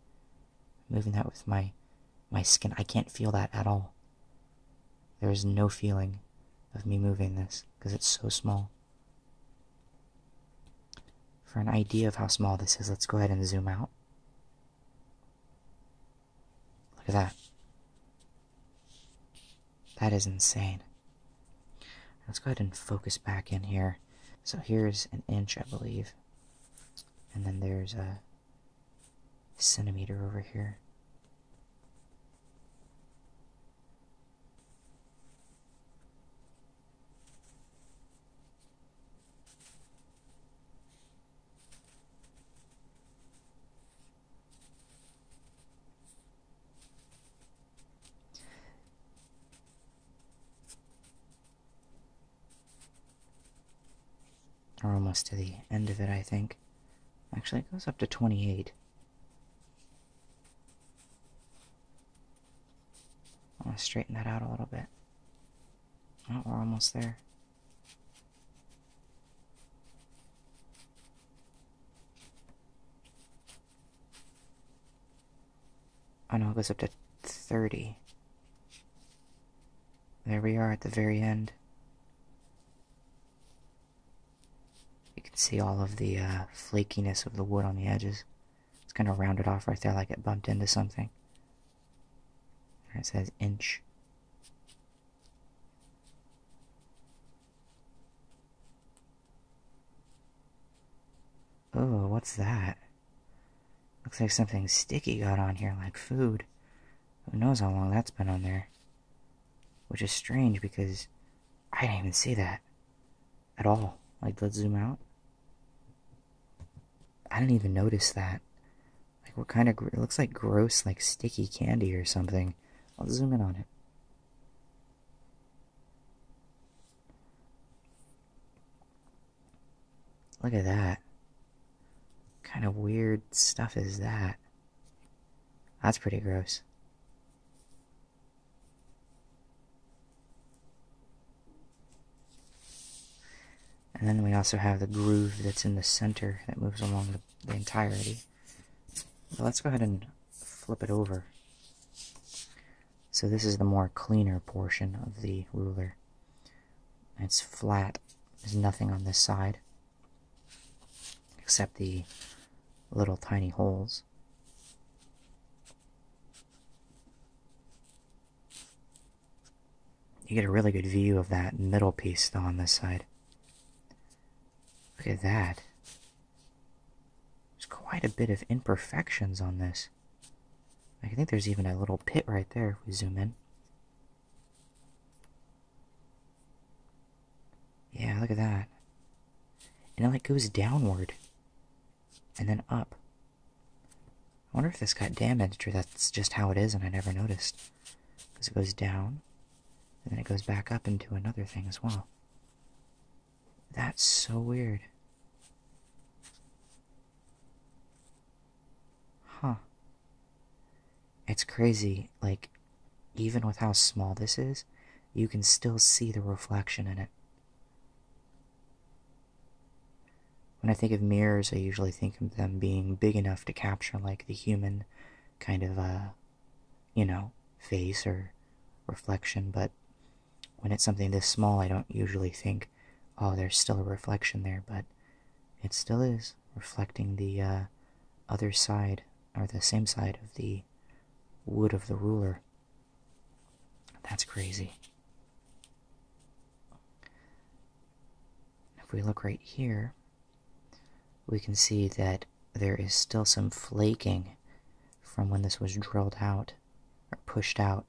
moving that with my my skin. I can't feel that at all. There is no feeling of me moving this because it's so small. For an idea of how small this is, let's go ahead and zoom out. Look at that. That is insane. Let's go ahead and focus back in here. So here's an inch, I believe. And then there's a centimeter over here. We're almost to the end of it, I think. Actually, it goes up to 28. I I'm to straighten that out a little bit. Oh, we're almost there. Oh no, it goes up to 30. There we are at the very end. You can see all of the uh, flakiness of the wood on the edges. It's kind of rounded off right there like it bumped into something. it says inch. Oh, what's that? Looks like something sticky got on here, like food. Who knows how long that's been on there? Which is strange because I didn't even see that at all. Like, let's zoom out. I didn't even notice that. Like, what kind of. It looks like gross, like sticky candy or something. I'll zoom in on it. Look at that. kind of weird stuff is that? That's pretty gross. And then we also have the groove that's in the center that moves along the, entirety. let's go ahead and flip it over. So this is the more cleaner portion of the ruler. It's flat. There's nothing on this side except the little tiny holes. You get a really good view of that middle piece though on this side. Look at that. There's quite a bit of imperfections on this. I think there's even a little pit right there if we zoom in. Yeah, look at that. And it like goes downward. And then up. I wonder if this got damaged or that's just how it is and I never noticed. Because it goes down, and then it goes back up into another thing as well. That's so weird. Huh. It's crazy, like, even with how small this is, you can still see the reflection in it. When I think of mirrors, I usually think of them being big enough to capture, like, the human kind of, uh, you know, face or reflection, but when it's something this small, I don't usually think, oh, there's still a reflection there, but it still is reflecting the uh, other side, or the same side of the wood of the ruler. That's crazy. If we look right here, we can see that there is still some flaking from when this was drilled out or pushed out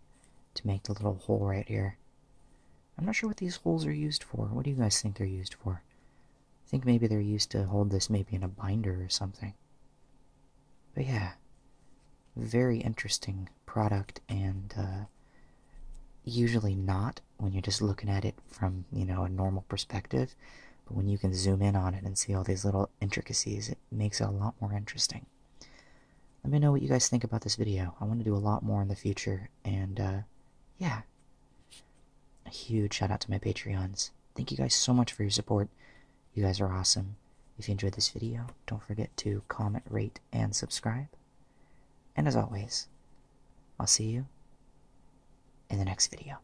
to make the little hole right here. I'm not sure what these holes are used for. What do you guys think they're used for? I think maybe they're used to hold this maybe in a binder or something. But yeah, very interesting product and uh, usually not when you're just looking at it from, you know, a normal perspective. But when you can zoom in on it and see all these little intricacies, it makes it a lot more interesting. Let me know what you guys think about this video. I want to do a lot more in the future and uh, yeah, a huge shout out to my Patreons. Thank you guys so much for your support. You guys are awesome. If you enjoyed this video, don't forget to comment, rate, and subscribe. And as always, I'll see you in the next video.